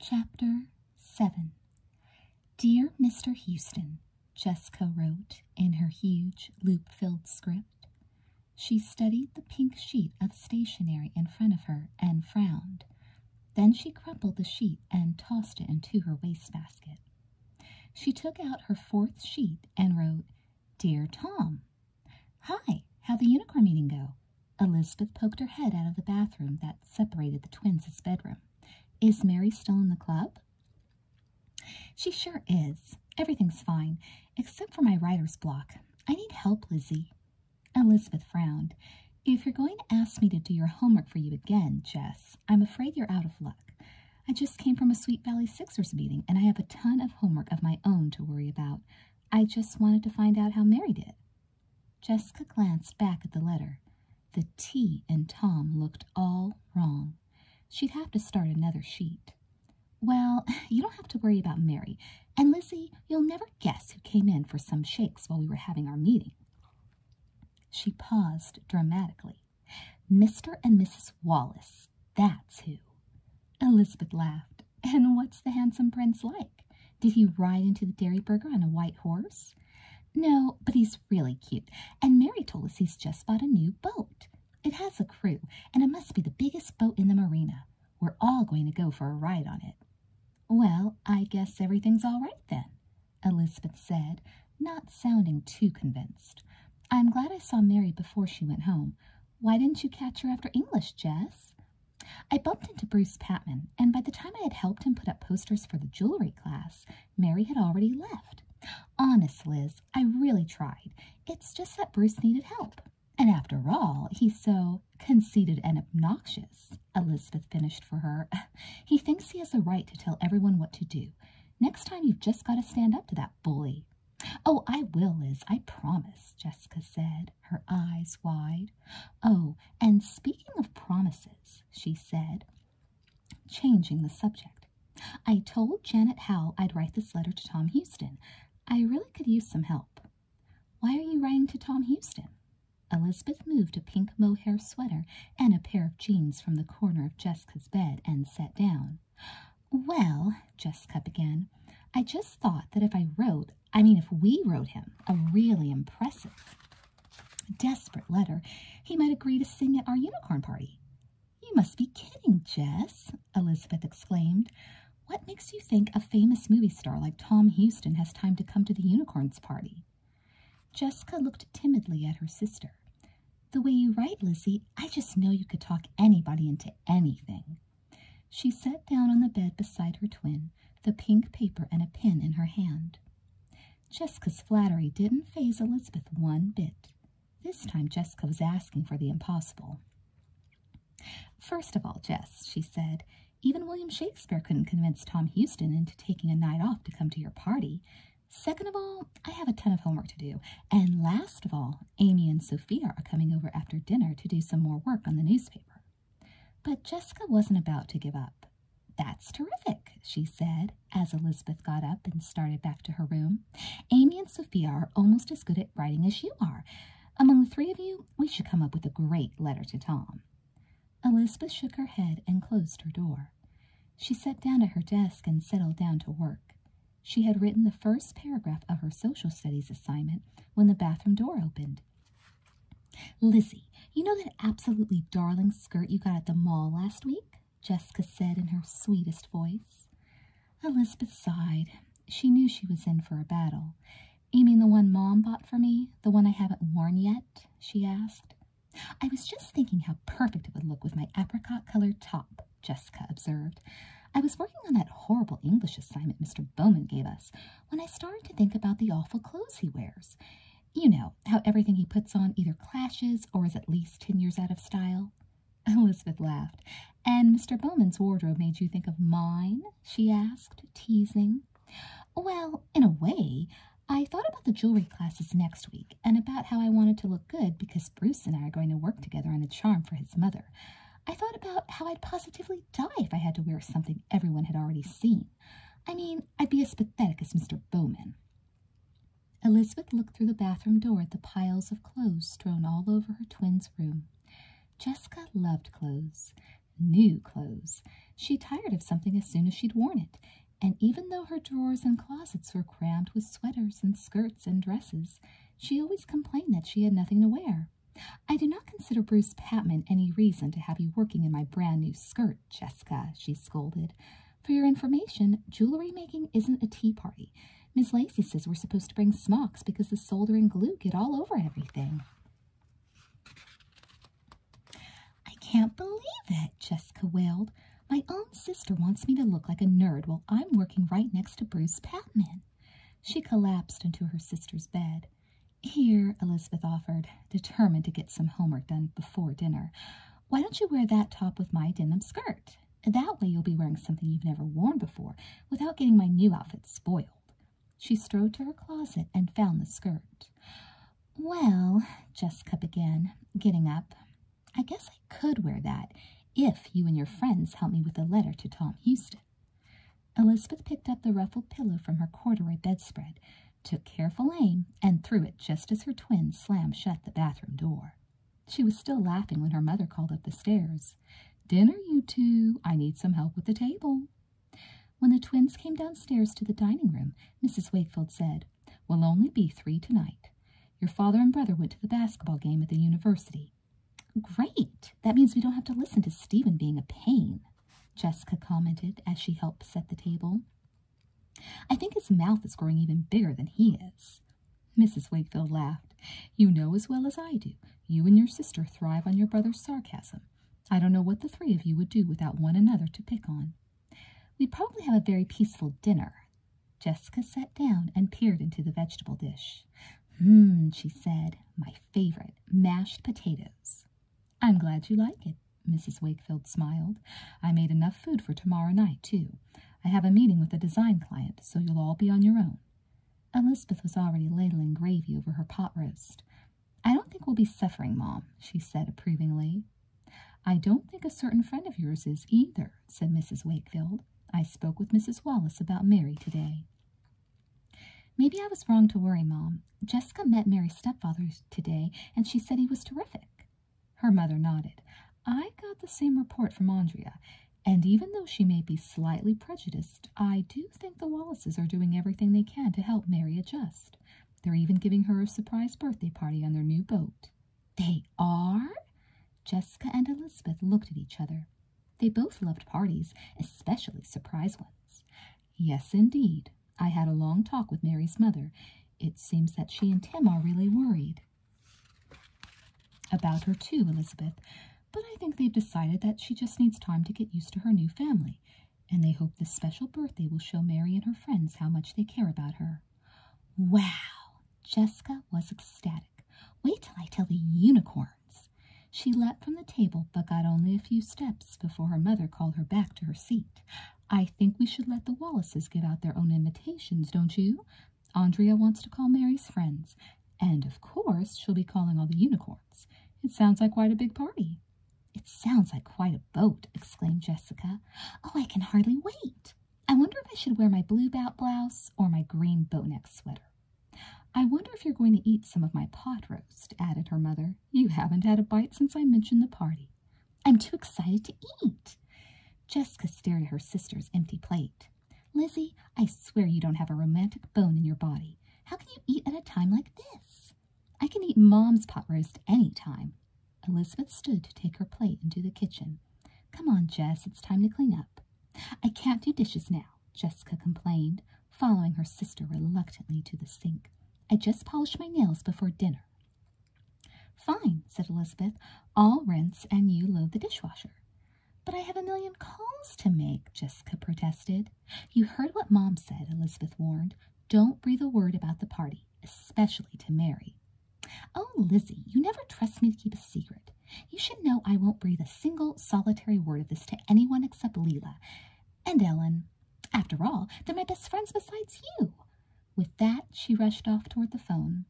Chapter 7 Dear Mr. Houston, Jessica wrote in her huge, loop filled script. She studied the pink sheet of stationery in front of her and frowned. Then she crumpled the sheet and tossed it into her waste basket. She took out her fourth sheet and wrote, Dear Tom, Hi, how the unicorn meeting go? Elizabeth poked her head out of the bathroom that separated the twins' bedroom. Is Mary still in the club? She sure is. Everything's fine, except for my writer's block. I need help, Lizzie. Elizabeth frowned. If you're going to ask me to do your homework for you again, Jess, I'm afraid you're out of luck. I just came from a Sweet Valley Sixers meeting, and I have a ton of homework of my own to worry about. I just wanted to find out how Mary did. Jessica glanced back at the letter. The T in Tom looked all wrong. She'd have to start another sheet. Well, you don't have to worry about Mary. And Lizzie, you'll never guess who came in for some shakes while we were having our meeting. She paused dramatically. Mr. and Mrs. Wallace, that's who. Elizabeth laughed. And what's the handsome prince like? Did he ride into the Dairyburger on a white horse? No, but he's really cute. And Mary told us he's just bought a new boat. It has a crew, and it must be the biggest boat in the marina. We're all going to go for a ride on it. Well, I guess everything's all right then, Elizabeth said, not sounding too convinced. I'm glad I saw Mary before she went home. Why didn't you catch her after English, Jess? I bumped into Bruce Patman, and by the time I had helped him put up posters for the jewelry class, Mary had already left. Honest, Liz, I really tried. It's just that Bruce needed help. And after all, he's so conceited and obnoxious, Elizabeth finished for her. He thinks he has a right to tell everyone what to do. Next time, you've just got to stand up to that bully. Oh, I will, Liz, I promise, Jessica said, her eyes wide. Oh, and speaking of promises, she said, changing the subject, I told Janet Howell I'd write this letter to Tom Houston. I really could use some help. Why are you writing to Tom Houston? Elizabeth moved a pink mohair sweater and a pair of jeans from the corner of Jessica's bed and sat down. Well, Jessica began, I just thought that if I wrote, I mean, if we wrote him a really impressive, desperate letter, he might agree to sing at our unicorn party. You must be kidding, Jess, Elizabeth exclaimed. What makes you think a famous movie star like Tom Houston has time to come to the unicorn's party? Jessica looked timidly at her sister. The way you write, Lizzie, I just know you could talk anybody into anything. She sat down on the bed beside her twin, the pink paper and a pen in her hand. Jessica's flattery didn't phase Elizabeth one bit. This time Jessica was asking for the impossible. First of all, Jess, she said, even William Shakespeare couldn't convince Tom Houston into taking a night off to come to your party. Second of all, I have a ton of homework to do. And last of all, Amy and Sophia are coming over after dinner to do some more work on the newspaper. But Jessica wasn't about to give up. That's terrific, she said as Elizabeth got up and started back to her room. Amy and Sophia are almost as good at writing as you are. Among the three of you, we should come up with a great letter to Tom. Elizabeth shook her head and closed her door. She sat down at her desk and settled down to work. She had written the first paragraph of her social studies assignment when the bathroom door opened. Lizzie, you know that absolutely darling skirt you got at the mall last week? Jessica said in her sweetest voice. Elizabeth sighed. She knew she was in for a battle. You mean the one Mom bought for me? The one I haven't worn yet? She asked. I was just thinking how perfect it would look with my apricot colored top. Jessica observed. I was working on that horrible English assignment Mr. Bowman gave us when I started to think about the awful clothes he wears. You know, how everything he puts on either clashes or is at least ten years out of style. Elizabeth laughed. And Mr. Bowman's wardrobe made you think of mine? she asked, teasing. Well, in a way, I thought about the jewelry classes next week and about how I wanted to look good because Bruce and I are going to work together on a charm for his mother. I thought about how I'd positively die if I had to wear something everyone had already seen. I mean, I'd be as pathetic as Mr. Bowman. Elizabeth looked through the bathroom door at the piles of clothes strewn all over her twin's room. Jessica loved clothes, new clothes. She tired of something as soon as she'd worn it, and even though her drawers and closets were crammed with sweaters and skirts and dresses, she always complained that she had nothing to wear. I do not consider Bruce Patman any reason to have you working in my brand new skirt, Jessica, she scolded. For your information, jewelry making isn't a tea party. Miss Lacey says we're supposed to bring smocks because the solder and glue get all over everything. I can't believe it, Jessica wailed. My own sister wants me to look like a nerd while I'm working right next to Bruce Patman. She collapsed into her sister's bed. Here, Elizabeth offered, determined to get some homework done before dinner. Why don't you wear that top with my denim skirt? That way you'll be wearing something you've never worn before without getting my new outfit spoiled. She strode to her closet and found the skirt. Well, Jessica began, getting up, I guess could wear that if you and your friends help me with a letter to Tom Houston. Elizabeth picked up the ruffled pillow from her corduroy bedspread, took careful aim, and threw it just as her twins slammed shut the bathroom door. She was still laughing when her mother called up the stairs. Dinner, you two. I need some help with the table. When the twins came downstairs to the dining room, Mrs. Wakefield said, We'll only be three tonight. Your father and brother went to the basketball game at the university. Great! That means we don't have to listen to Stephen being a pain, Jessica commented as she helped set the table. I think his mouth is growing even bigger than he is. Mrs. Wakefield laughed. You know as well as I do. You and your sister thrive on your brother's sarcasm. I don't know what the three of you would do without one another to pick on. We'd probably have a very peaceful dinner. Jessica sat down and peered into the vegetable dish. Hm," Mmm, she said, my favorite, mashed potatoes. I'm glad you like it, Mrs. Wakefield smiled. I made enough food for tomorrow night, too. I have a meeting with a design client, so you'll all be on your own. Elizabeth was already ladling gravy over her pot roast. I don't think we'll be suffering, Mom, she said approvingly. I don't think a certain friend of yours is either, said Mrs. Wakefield. I spoke with Mrs. Wallace about Mary today. Maybe I was wrong to worry, Mom. Jessica met Mary's stepfather today, and she said he was terrific. Her mother nodded. I got the same report from Andrea, and even though she may be slightly prejudiced, I do think the Wallaces are doing everything they can to help Mary adjust. They're even giving her a surprise birthday party on their new boat. They are? Jessica and Elizabeth looked at each other. They both loved parties, especially surprise ones. Yes, indeed. I had a long talk with Mary's mother. It seems that she and Tim are really worried about her, too, Elizabeth. But I think they've decided that she just needs time to get used to her new family, and they hope this special birthday will show Mary and her friends how much they care about her. Wow! Jessica was ecstatic. Wait till I tell the unicorn. She leapt from the table, but got only a few steps before her mother called her back to her seat. I think we should let the Wallaces give out their own invitations, don't you? Andrea wants to call Mary's friends, and of course she'll be calling all the unicorns. It sounds like quite a big party. It sounds like quite a boat, exclaimed Jessica. Oh, I can hardly wait. I wonder if I should wear my blue bout blouse or my green bow neck sweater. I wonder if you're going to eat some of my pot roast, added her mother. You haven't had a bite since I mentioned the party. I'm too excited to eat. Jessica stared at her sister's empty plate. Lizzie, I swear you don't have a romantic bone in your body. How can you eat at a time like this? I can eat Mom's pot roast any time. Elizabeth stood to take her plate into the kitchen. Come on, Jess, it's time to clean up. I can't do dishes now. Jessica complained, following her sister reluctantly to the sink. I just polished my nails before dinner. Fine, said Elizabeth. I'll rinse and you load the dishwasher. But I have a million calls to make, Jessica protested. You heard what Mom said, Elizabeth warned. Don't breathe a word about the party, especially to Mary. Oh, Lizzie, you never trust me to keep a secret. You should know I won't breathe a single solitary word of this to anyone except Leela and Ellen. After all, they're my best friends besides you. With that, she rushed off toward the phone.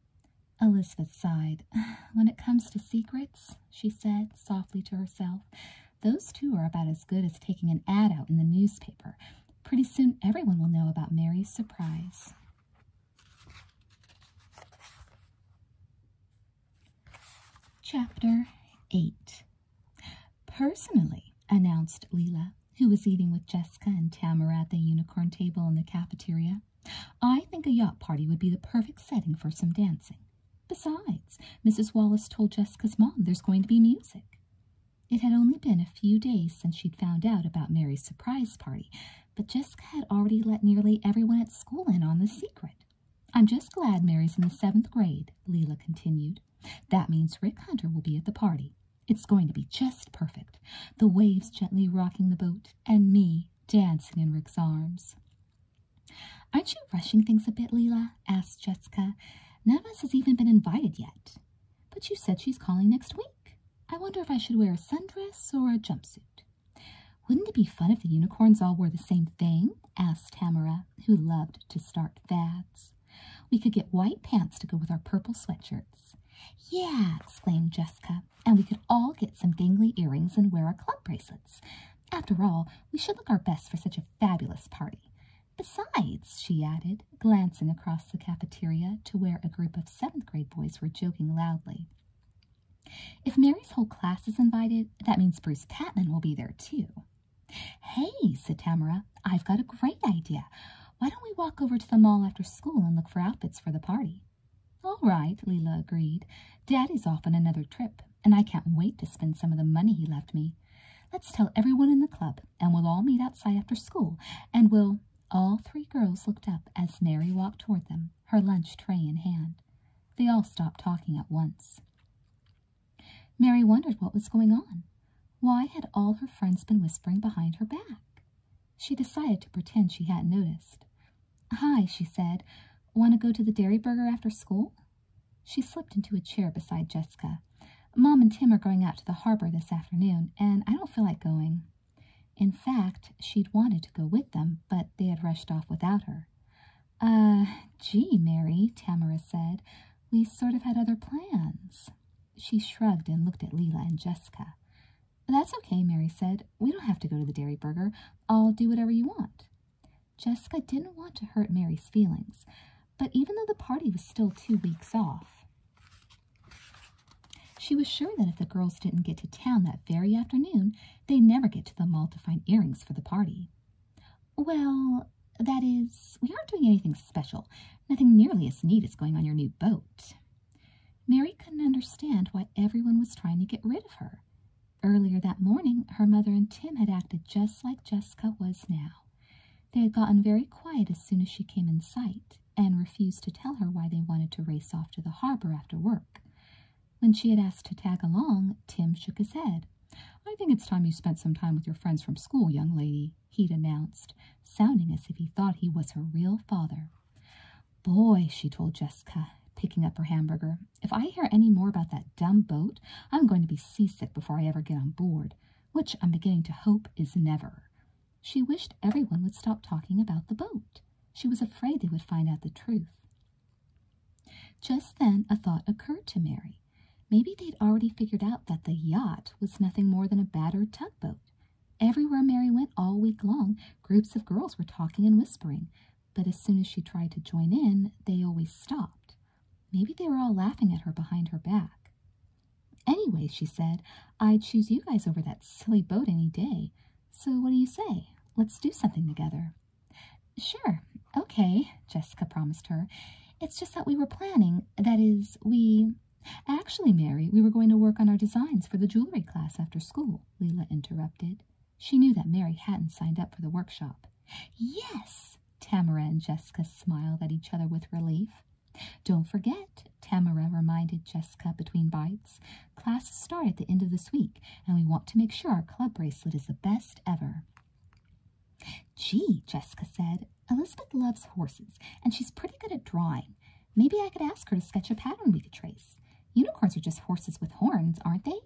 Elizabeth sighed. When it comes to secrets, she said softly to herself, those two are about as good as taking an ad out in the newspaper. Pretty soon everyone will know about Mary's surprise. Chapter 8 Personally, announced Leela, who was eating with Jessica and Tamara at the unicorn table in the cafeteria, I think a yacht party would be the perfect setting for some dancing. Besides, Mrs. Wallace told Jessica's mom there's going to be music. It had only been a few days since she'd found out about Mary's surprise party, but Jessica had already let nearly everyone at school in on the secret. I'm just glad Mary's in the seventh grade, Leela continued. That means Rick Hunter will be at the party. It's going to be just perfect. The waves gently rocking the boat, and me dancing in Rick's arms. Aren't you rushing things a bit, Leela? asked Jessica. None of us has even been invited yet. But you said she's calling next week. I wonder if I should wear a sundress or a jumpsuit. Wouldn't it be fun if the unicorns all wore the same thing? asked Tamara, who loved to start fads. We could get white pants to go with our purple sweatshirts. Yeah, exclaimed Jessica, and we could all get some dangly earrings and wear our club bracelets. After all, we should look our best for such a fabulous party. Besides, she added, glancing across the cafeteria to where a group of seventh grade boys were joking loudly, if Mary's whole class is invited, that means Bruce Patman will be there too. Hey, said Tamara, I've got a great idea. Why don't we walk over to the mall after school and look for outfits for the party? All right, Leela agreed. Daddy's off on another trip, and I can't wait to spend some of the money he left me. Let's tell everyone in the club, and we'll all meet outside after school, and we'll... All three girls looked up as Mary walked toward them her lunch tray in hand. They all stopped talking at once. Mary wondered what was going on. Why had all her friends been whispering behind her back? She decided to pretend she hadn't noticed. Hi, she said. Want to go to the Dairy Burger after school? She slipped into a chair beside Jessica. Mom and Tim are going out to the harbor this afternoon, and I don't feel like going. In fact, she'd wanted to go with them, but they had rushed off without her. Uh, gee, Mary, Tamara said. We sort of had other plans. She shrugged and looked at Leila and Jessica. That's okay, Mary said. We don't have to go to the Dairy Burger. I'll do whatever you want. Jessica didn't want to hurt Mary's feelings, but even though the party was still two weeks off, she was sure that if the girls didn't get to town that very afternoon, they'd never get to the mall to find earrings for the party. Well, that is, we aren't doing anything special. Nothing nearly as neat as going on your new boat. Mary couldn't understand why everyone was trying to get rid of her. Earlier that morning, her mother and Tim had acted just like Jessica was now. They had gotten very quiet as soon as she came in sight and refused to tell her why they wanted to race off to the harbor after work. When she had asked to tag along, Tim shook his head. I think it's time you spent some time with your friends from school, young lady, he'd announced, sounding as if he thought he was her real father. Boy, she told Jessica, picking up her hamburger, if I hear any more about that dumb boat, I'm going to be seasick before I ever get on board, which I'm beginning to hope is never. She wished everyone would stop talking about the boat. She was afraid they would find out the truth. Just then a thought occurred to Mary. Maybe they'd already figured out that the yacht was nothing more than a battered tugboat. Everywhere Mary went all week long, groups of girls were talking and whispering, but as soon as she tried to join in, they always stopped. Maybe they were all laughing at her behind her back. Anyway, she said, I'd choose you guys over that silly boat any day. So what do you say? Let's do something together. Sure, okay, Jessica promised her. It's just that we were planning, that is, we. Actually, Mary, we were going to work on our designs for the jewelry class after school, Leila interrupted. She knew that Mary hadn't signed up for the workshop. Yes, Tamara and Jessica smiled at each other with relief. Don't forget, Tamara reminded Jessica between bites, classes start at the end of this week, and we want to make sure our club bracelet is the best ever. Gee, Jessica said, Elizabeth loves horses, and she's pretty good at drawing. Maybe I could ask her to sketch a pattern we could trace. Unicorns are just horses with horns, aren't they?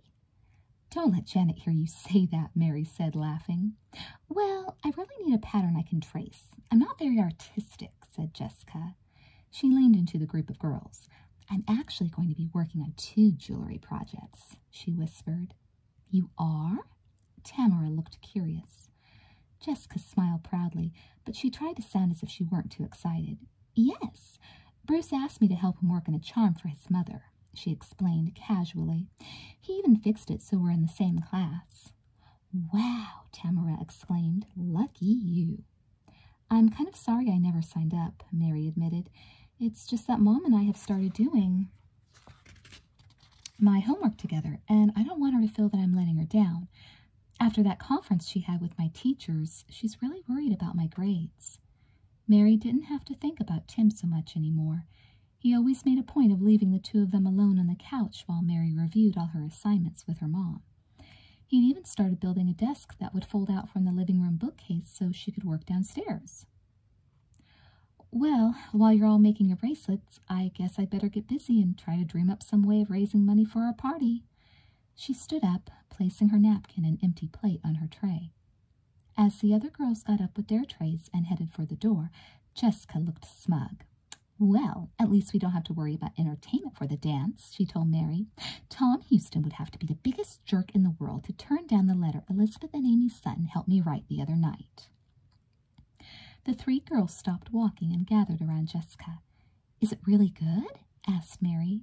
Don't let Janet hear you say that, Mary said, laughing. Well, I really need a pattern I can trace. I'm not very artistic, said Jessica. She leaned into the group of girls. I'm actually going to be working on two jewelry projects she whispered. You are? Tamara looked curious. Jessica smiled proudly, but she tried to sound as if she weren't too excited. Yes, Bruce asked me to help him work on a charm for his mother, she explained casually. He even fixed it so we're in the same class. Wow, Tamara exclaimed. Lucky you. I'm kind of sorry I never signed up, Mary admitted. It's just that mom and I have started doing my homework together, and I don't want her to feel that I'm letting her down. After that conference she had with my teachers, she's really worried about my grades. Mary didn't have to think about Tim so much anymore. He always made a point of leaving the two of them alone on the couch while Mary reviewed all her assignments with her mom. He'd even started building a desk that would fold out from the living room bookcase so she could work downstairs. Well, while you're all making your bracelets, I guess I'd better get busy and try to dream up some way of raising money for our party. She stood up, placing her napkin and empty plate on her tray. As the other girls got up with their trays and headed for the door, Jessica looked smug. Well, at least we don't have to worry about entertainment for the dance, she told Mary. Tom Houston would have to be the biggest jerk in the world to turn down the letter Elizabeth and Amy Sutton helped me write the other night. The three girls stopped walking and gathered around Jessica. Is it really good? asked Mary.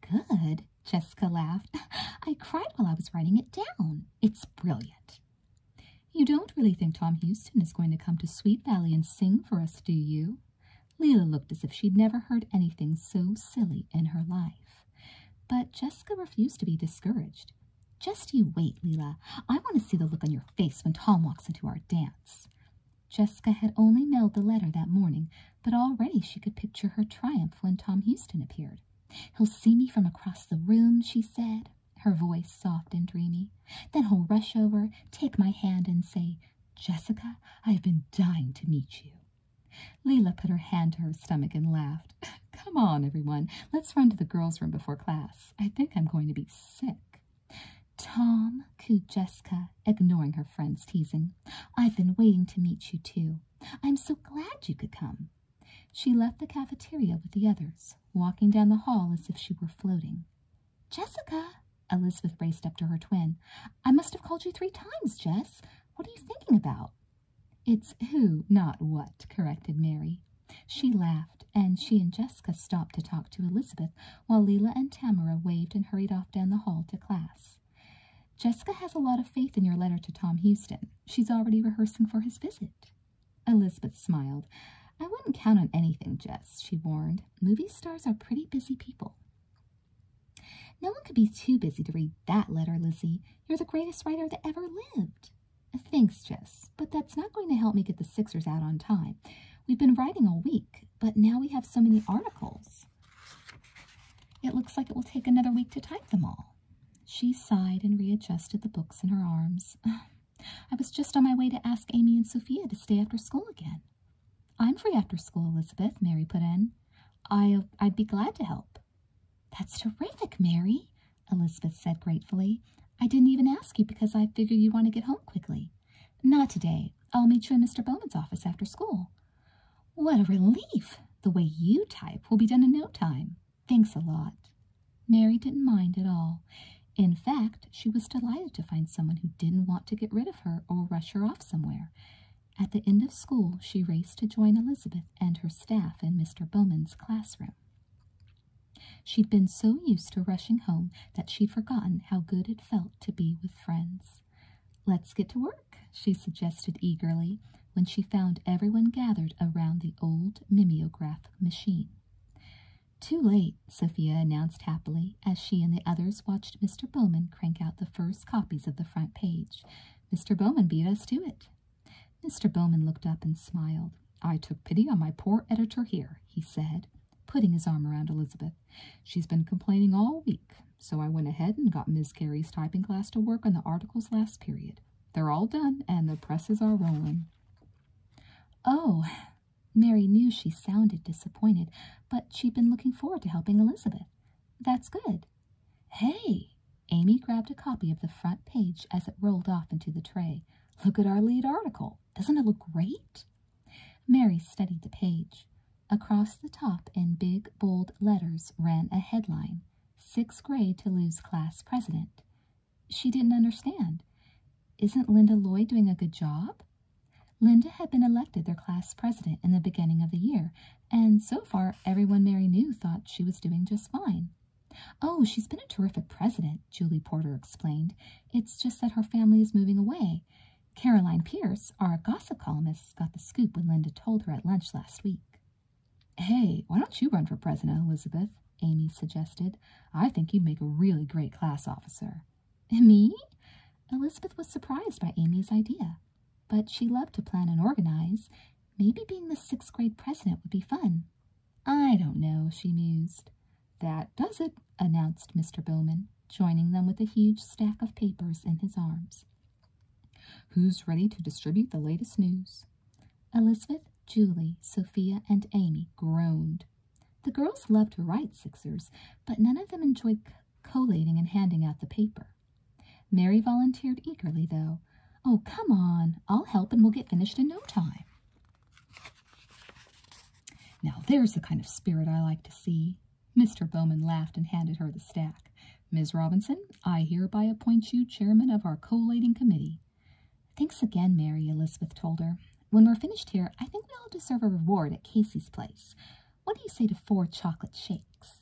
Good, Jessica laughed. I cried while I was writing it down. It's brilliant. You don't really think Tom Houston is going to come to Sweet Valley and sing for us, do you? Leila looked as if she'd never heard anything so silly in her life. But Jessica refused to be discouraged. Just you wait, Leila. I want to see the look on your face when Tom walks into our dance. Jessica had only mailed the letter that morning, but already she could picture her triumph when Tom Houston appeared. He'll see me from across the room, she said, her voice soft and dreamy. Then he'll rush over, take my hand, and say, Jessica, I've been dying to meet you. Leela put her hand to her stomach and laughed. Come on, everyone. Let's run to the girls' room before class. I think I'm going to be sick. Tom, cooed Jessica, ignoring her friend's teasing. I've been waiting to meet you too. i I'm so glad you could come. She left the cafeteria with the others, walking down the hall as if she were floating. Jessica, Elizabeth raced up to her twin. I must have called you three times, Jess. What are you thinking about? It's who, not what, corrected Mary. She laughed, and she and Jessica stopped to talk to Elizabeth while Leela and Tamara waved and hurried off down the hall to class. Jessica has a lot of faith in your letter to Tom Houston. She's already rehearsing for his visit. Elizabeth smiled. I wouldn't count on anything, Jess, she warned. Movie stars are pretty busy people. No one could be too busy to read that letter, Lizzie. You're the greatest writer that ever lived. Thanks, Jess, but that's not going to help me get the Sixers out on time. We've been writing all week, but now we have so many articles. It looks like it will take another week to type them all. She sighed and readjusted the books in her arms. I was just on my way to ask Amy and Sophia to stay after school again. I'm free after school, Elizabeth, Mary put in. I, I'd be glad to help. That's terrific, Mary, Elizabeth said gratefully. I didn't even ask you because I figured you would want to get home quickly. Not today. I'll meet you in Mr. Bowman's office after school. What a relief! The way you type will be done in no time. Thanks a lot. Mary didn't mind at all. In fact, she was delighted to find someone who didn't want to get rid of her or rush her off somewhere. At the end of school, she raced to join Elizabeth and her staff in Mr. Bowman's classroom. She'd been so used to rushing home that she'd forgotten how good it felt to be with friends. Let's get to work, she suggested eagerly when she found everyone gathered around the old mimeograph machine. Too late, Sophia announced happily as she and the others watched Mr. Bowman crank out the first copies of the front page. Mr. Bowman beat us to it. Mr. Bowman looked up and smiled. I took pity on my poor editor here, he said, putting his arm around Elizabeth. She's been complaining all week, so I went ahead and got Miss Carey's typing class to work on the articles last period. They're all done, and the presses are rolling. Oh, Mary knew she sounded disappointed, but she'd been looking forward to helping Elizabeth. That's good. Hey! Amy grabbed a copy of the front page as it rolled off into the tray. Look at our lead article. Doesn't it look great? Mary studied the page. Across the top, in big, bold letters, ran a headline Sixth grade to lose class president. She didn't understand. Isn't Linda Lloyd doing a good job? Linda had been elected their class president in the beginning of the year, and so far everyone Mary knew thought she was doing just fine. Oh, she's been a terrific president, Julie Porter explained. It's just that her family is moving away. Caroline Pierce, our gossip columnist, got the scoop when Linda told her at lunch last week. Hey, why don't you run for president, Elizabeth? Amy suggested. I think you'd make a really great class officer. Me? Elizabeth was surprised by Amy's idea, but she loved to plan and organize, Maybe being the sixth grade president would be fun. I don't know, she mused. That does it, announced Mr. Bowman, joining them with a huge stack of papers in his arms. Who's ready to distribute the latest news? Elizabeth, Julie, Sophia, and Amy groaned. The girls loved to write sixers, but none of them enjoyed collating and handing out the paper. Mary volunteered eagerly, though. Oh, come on. I'll help and we'll get finished in no time. Now, there's the kind of spirit I like to see. Mr. Bowman laughed and handed her the stack. Miss Robinson, I hereby appoint you chairman of our collating committee. Thanks again, Mary, Elizabeth told her. When we're finished here, I think we all deserve a reward at Casey's place. What do you say to four chocolate shakes?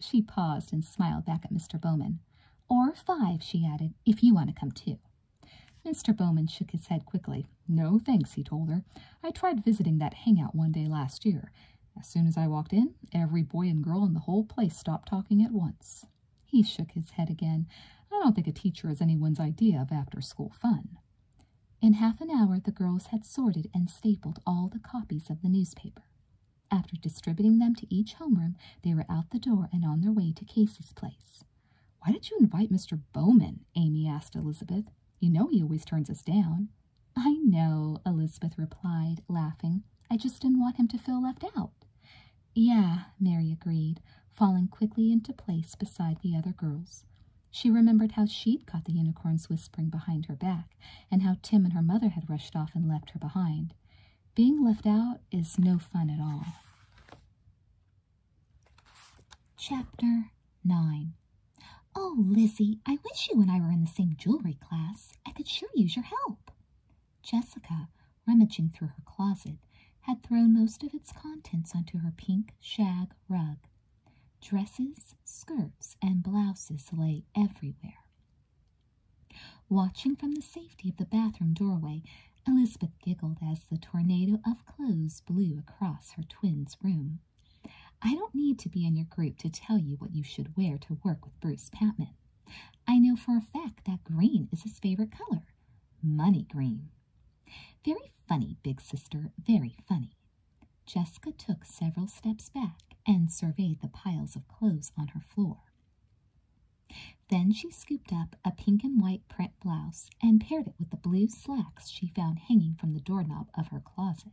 She paused and smiled back at Mr. Bowman. Or five," she added, if you want to come too. Mr. Bowman shook his head quickly. No thanks, he told her. I tried visiting that hangout one day last year. As soon as I walked in, every boy and girl in the whole place stopped talking at once. He shook his head again. I don't think a teacher is anyone's idea of after school fun. In half an hour, the girls had sorted and stapled all the copies of the newspaper. After distributing them to each homeroom, they were out the door and on their way to Casey's place. Why did you invite Mr. Bowman? Amy asked Elizabeth. You know he always turns us down. I know, Elizabeth replied, laughing. I just didn't want him to feel left out. Yeah, Mary agreed, falling quickly into place beside the other girls. She remembered how she'd caught the unicorns whispering behind her back, and how Tim and her mother had rushed off and left her behind. Being left out is no fun at all. Chapter 9 Oh, Lizzie, I wish you and I were in the same jewelry class. I could sure use your help. Jessica, rummaging through her closet, had thrown most of its contents onto her pink shag rug. Dresses, skirts, and blouses lay everywhere. Watching from the safety of the bathroom doorway, Elizabeth giggled as the tornado of clothes blew across her twin's room. I don't need to be in your group to tell you what you should wear to work with Bruce Patman. I know for a fact that green is his favorite color money green. Very funny, big sister, very funny. Jessica took several steps back and surveyed the piles of clothes on her floor. Then she scooped up a pink and white print blouse and paired it with the blue slacks she found hanging from the doorknob of her closet.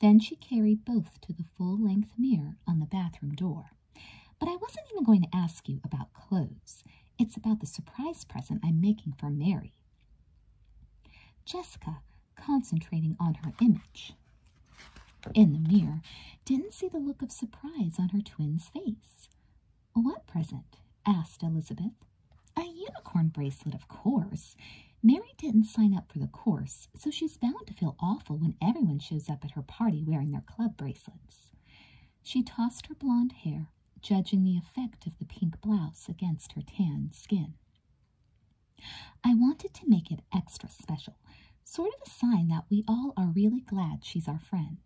Then she carried both to the full length mirror on the bathroom door. But I wasn't even going to ask you about clothes. It's about the surprise present I'm making for Mary. Jessica, concentrating on her image, in the mirror, didn't see the look of surprise on her twin's face. What present? asked Elizabeth. A unicorn bracelet, of course. Mary didn't sign up for the course, so she's bound to feel awful when everyone shows up at her party wearing their club bracelets. She tossed her blonde hair, judging the effect of the pink blouse against her tan skin. I wanted to make it extra special, sort of a sign that we all are really glad she's our friend.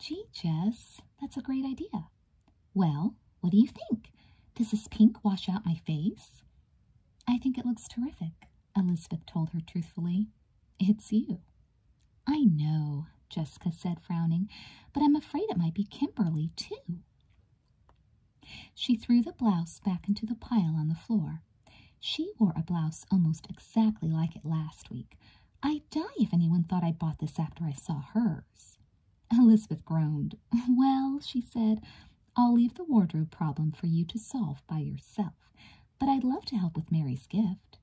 Gee, Jess, that's a great idea. Well, what do you think? Does this pink wash out my face? I think it looks terrific, Elizabeth told her truthfully. It's you. I know, Jessica said, frowning, but I'm afraid it might be Kimberly, too. She threw the blouse back into the pile on the floor. She wore a blouse almost exactly like it last week. I'd die if anyone thought I bought this after I saw hers. Elizabeth groaned. Well, she said, I'll leave the wardrobe problem for you to solve by yourself, but I'd love to help with Mary's gift.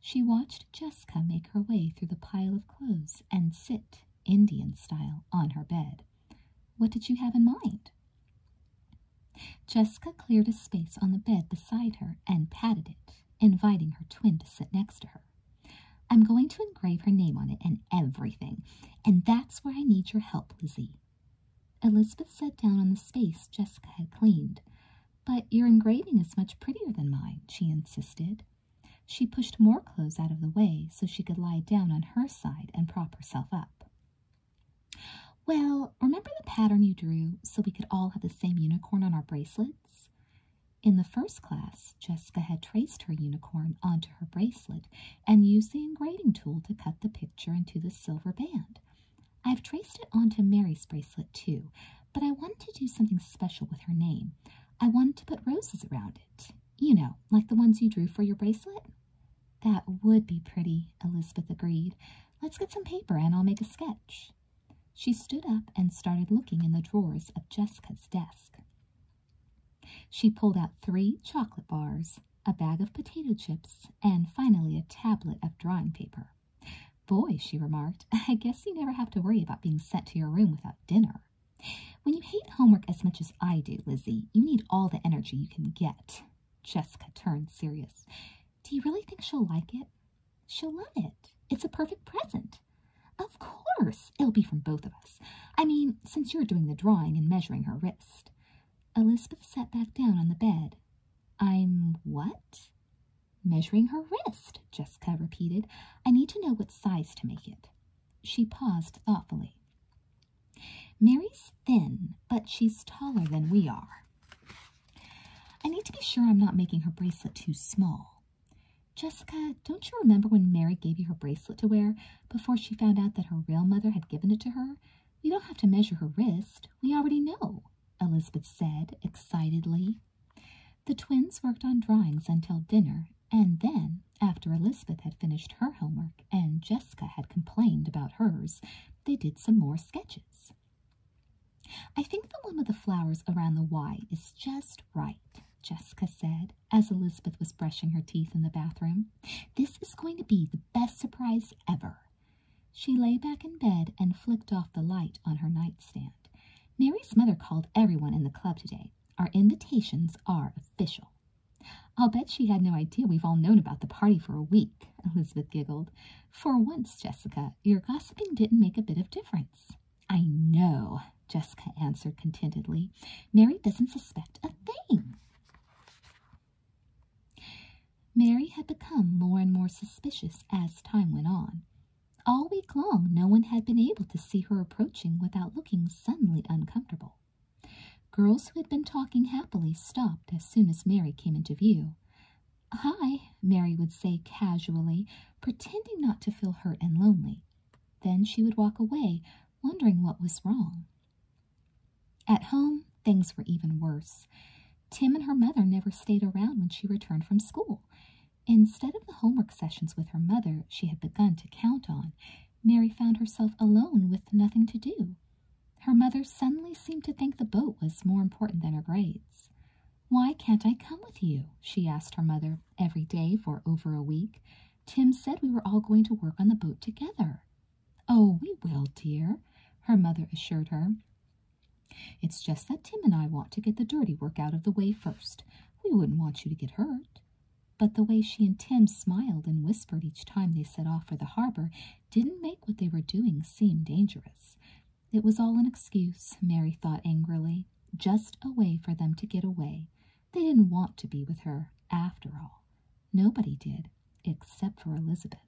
She watched Jessica make her way through the pile of clothes and sit, Indian style, on her bed. What did you have in mind? Jessica cleared a space on the bed beside her and patted it, inviting her twin to sit next to her. I'm going to engrave her name on it and everything, and that's where I need your help, Lizzie. Elizabeth sat down on the space Jessica had cleaned. But your engraving is much prettier than mine, she insisted. She pushed more clothes out of the way so she could lie down on her side and prop herself up. Well, remember the pattern you drew so we could all have the same unicorn on our bracelets? In the first class, Jessica had traced her unicorn onto her bracelet and used the engraving tool to cut the picture into the silver band. I've traced it onto Mary's bracelet too, but I wanted to do something special with her name. I wanted to put roses around it. You know, like the ones you drew for your bracelet. That would be pretty, Elizabeth agreed. Let's get some paper and I'll make a sketch. She stood up and started looking in the drawers of Jessica's desk. She pulled out three chocolate bars, a bag of potato chips, and finally a tablet of drawing paper. Boy, she remarked, I guess you never have to worry about being sent to your room without dinner. When you hate homework as much as I do, Lizzie, you need all the energy you can get. Jessica turned serious. Do you really think she'll like it? She'll love it. It's a perfect present. Of course, it'll be from both of us. I mean, since you're doing the drawing and measuring her wrist. Elizabeth sat back down on the bed. I'm what? Measuring her wrist, Jessica repeated. I need to know what size to make it. She paused thoughtfully. Mary's thin, but she's taller than we are. I need to be sure I'm not making her bracelet too small. Jessica, don't you remember when Mary gave you her bracelet to wear before she found out that her real mother had given it to her? We don't have to measure her wrist. We already know, Elizabeth said excitedly. The twins worked on drawings until dinner, and then, after Elizabeth had finished her homework and Jessica had complained about hers, they did some more sketches. I think the one with the flowers around the Y is just right, Jessica said as Elizabeth was brushing her teeth in the bathroom. This is going to be the best surprise ever. She lay back in bed and flicked off the light on her nightstand. Mary's mother called everyone in the club today. Our invitations are official. I'll bet she had no idea we've all known about the party for a week. Elizabeth giggled. For once, Jessica, your gossiping didn't make a bit of difference. I know, Jessica answered contentedly. Mary doesn't suspect a thing. Mary had become more and more suspicious as time went on. All week long, no one had been able to see her approaching without looking suddenly uncomfortable. Girls who had been talking happily stopped as soon as Mary came into view. Hi, Mary would say casually, pretending not to feel hurt and lonely. Then she would walk away, wondering what was wrong. At home, things were even worse. Tim and her mother never stayed around when she returned from school. Instead of the homework sessions with her mother she had begun to count on, Mary found herself alone with nothing to do. Her mother suddenly seemed to think the boat was more important than her grades. Why can't I come with you? she asked her mother every day for over a week. Tim said we were all going to work on the boat together. Oh, we will, dear, her mother assured her. It's just that Tim and I want to get the dirty work out of the way first. We wouldn't want you to get hurt. But the way she and Tim smiled and whispered each time they set off for the harbor didn't make what they were doing seem dangerous. It was all an excuse, Mary thought angrily, just a way for them to get away. They didn't want to be with her, after all. Nobody did, except for Elizabeth.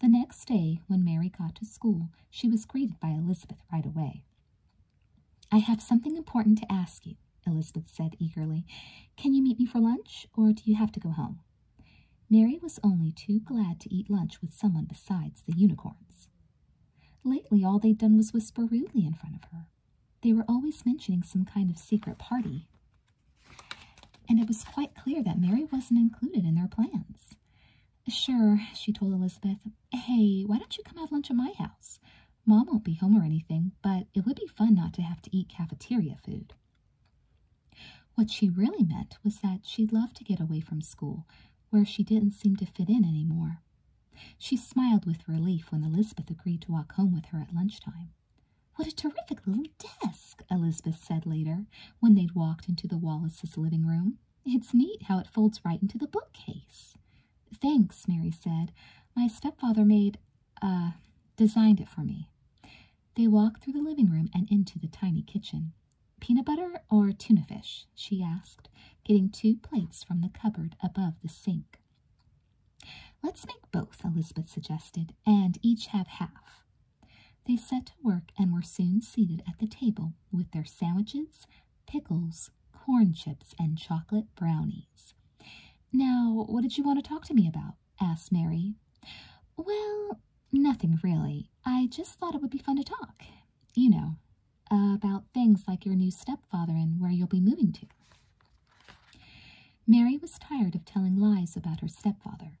The next day, when Mary got to school, she was greeted by Elizabeth right away. I have something important to ask you, Elizabeth said eagerly. Can you meet me for lunch, or do you have to go home? Mary was only too glad to eat lunch with someone besides the unicorns. Lately, all they'd done was whisper rudely in front of her. They were always mentioning some kind of secret party. And it was quite clear that Mary wasn't included in their plans. Sure, she told Elizabeth, hey, why don't you come have lunch at my house? Mom won't be home or anything, but it would be fun not to have to eat cafeteria food. What she really meant was that she'd love to get away from school, where she didn't seem to fit in anymore. She smiled with relief when Elizabeth agreed to walk home with her at lunchtime. What a terrific little desk, Elizabeth said later when they'd walked into the Wallace's living room. It's neat how it folds right into the bookcase. Thanks, Mary said. My stepfather made, uh, designed it for me. They walked through the living room and into the tiny kitchen. Peanut butter or tuna fish? she asked, getting two plates from the cupboard above the sink. Let's make both, Elizabeth suggested, and each have half. They set to work and were soon seated at the table with their sandwiches, pickles, corn chips, and chocolate brownies. Now, what did you want to talk to me about? asked Mary. Well, nothing really. I just thought it would be fun to talk, you know, about things like your new stepfather and where you'll be moving to. Mary was tired of telling lies about her stepfather.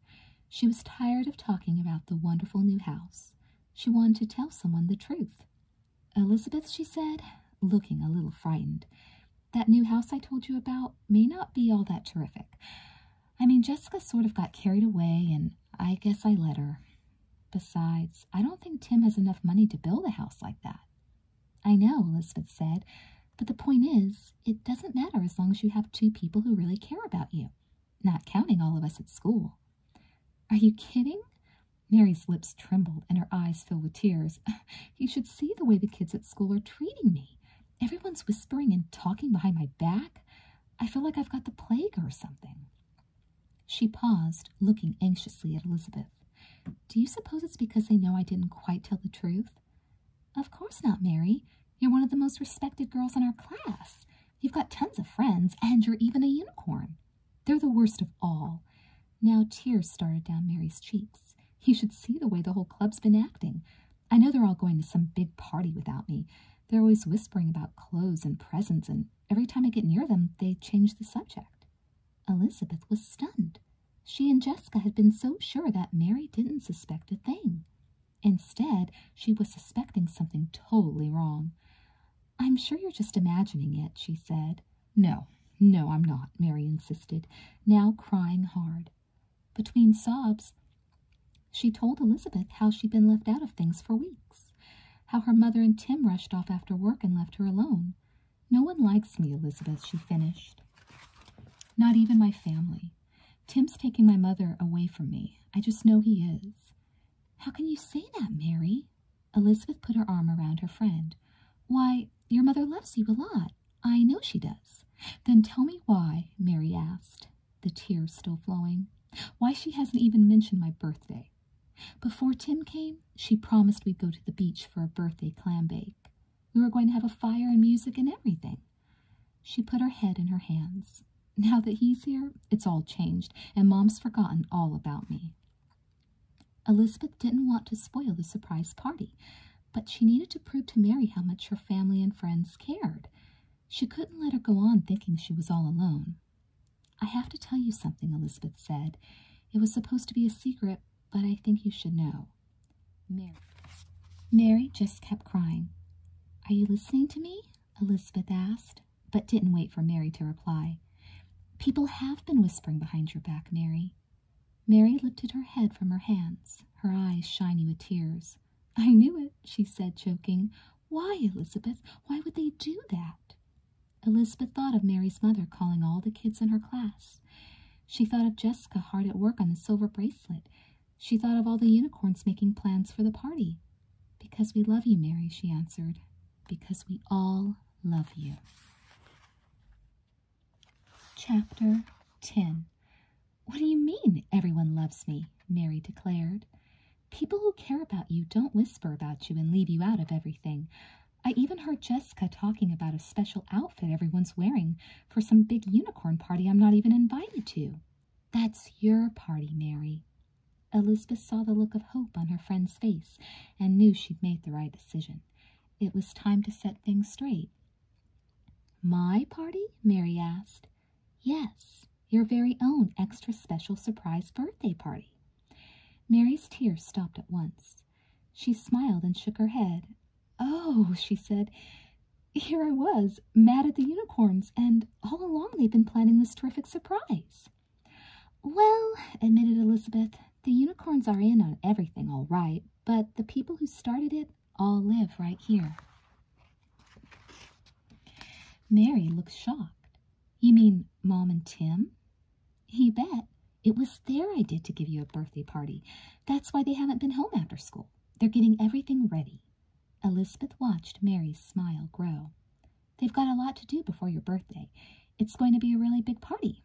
She was tired of talking about the wonderful new house. She wanted to tell someone the truth. Elizabeth, she said, looking a little frightened, that new house I told you about may not be all that terrific. I mean, Jessica sort of got carried away, and I guess I let her. Besides, I don't think Tim has enough money to build a house like that. I know, Elizabeth said, but the point is, it doesn't matter as long as you have two people who really care about you, not counting all of us at school. Are you kidding? Mary's lips trembled and her eyes filled with tears. You should see the way the kids at school are treating me. Everyone's whispering and talking behind my back. I feel like I've got the plague or something. She paused, looking anxiously at Elizabeth. Do you suppose it's because they know I didn't quite tell the truth? Of course not, Mary. You're one of the most respected girls in our class. You've got tons of friends, and you're even a unicorn. They're the worst of all. Now tears started down Mary's cheeks. You should see the way the whole club's been acting. I know they're all going to some big party without me, they're always whispering about clothes and presents, and every time I get near them, they change the subject. Elizabeth was stunned. She and Jessica had been so sure that Mary didn't suspect a thing. Instead, she was suspecting something totally wrong. I'm sure you're just imagining it, she said. No, no, I'm not, Mary insisted, now crying hard. Between sobs, she told Elizabeth how she'd been left out of things for weeks, how her mother and Tim rushed off after work and left her alone. No one likes me, Elizabeth, she finished. Not even my family. Tim's taking my mother away from me. I just know he is. How can you say that, Mary? Elizabeth put her arm around her friend. Why, your mother loves you a lot. I know she does. Then tell me why, Mary asked the tears still flowing. Why she hasn't even mentioned my birthday. Before Tim came, she promised we'd go to the beach for a birthday clam bake. We were going to have a fire and music and everything. She put her head in her hands. Now that he's here, it's all changed, and Mom's forgotten all about me. Elizabeth didn't want to spoil the surprise party, but she needed to prove to Mary how much her family and friends cared. She couldn't let her go on thinking she was all alone. I have to tell you something, Elizabeth said. It was supposed to be a secret, but I think you should know. Mary. Mary just kept crying. Are you listening to me? Elizabeth asked, but didn't wait for Mary to reply. People have been whispering behind your back, Mary. Mary lifted her head from her hands, her eyes shiny with tears. I knew it, she said, choking, why, Elizabeth? Why would they do that? Elizabeth thought of Mary's mother calling all the kids in her class. She thought of Jessica hard at work on the silver bracelet. She thought of all the unicorns making plans for the party. Because we love you, Mary, she answered. Because we all love you. Chapter 10 What do you mean, everyone loves me? Mary declared. People who care about you don't whisper about you and leave you out of everything. I even heard Jessica talking about a special outfit everyone's wearing for some big unicorn party I'm not even invited to. That's your party, Mary. Elizabeth saw the look of hope on her friend's face and knew she'd made the right decision. It was time to set things straight. My party? Mary asked. Yes, your very own extra special surprise birthday party. Mary's tears stopped at once. She smiled and shook her head. Oh, she said, here I was, mad at the unicorns, and all along they've been planning this terrific surprise. Well, admitted Elizabeth, the unicorns are in on everything all right, but the people who started it all live right here. Mary looked shocked. You mean Mom and Tim? You bet. It was their idea to give you a birthday party. That's why they haven't been home after school. They're getting everything ready. Elizabeth watched Mary's smile grow. They've got a lot to do before your birthday. It's going to be a really big party.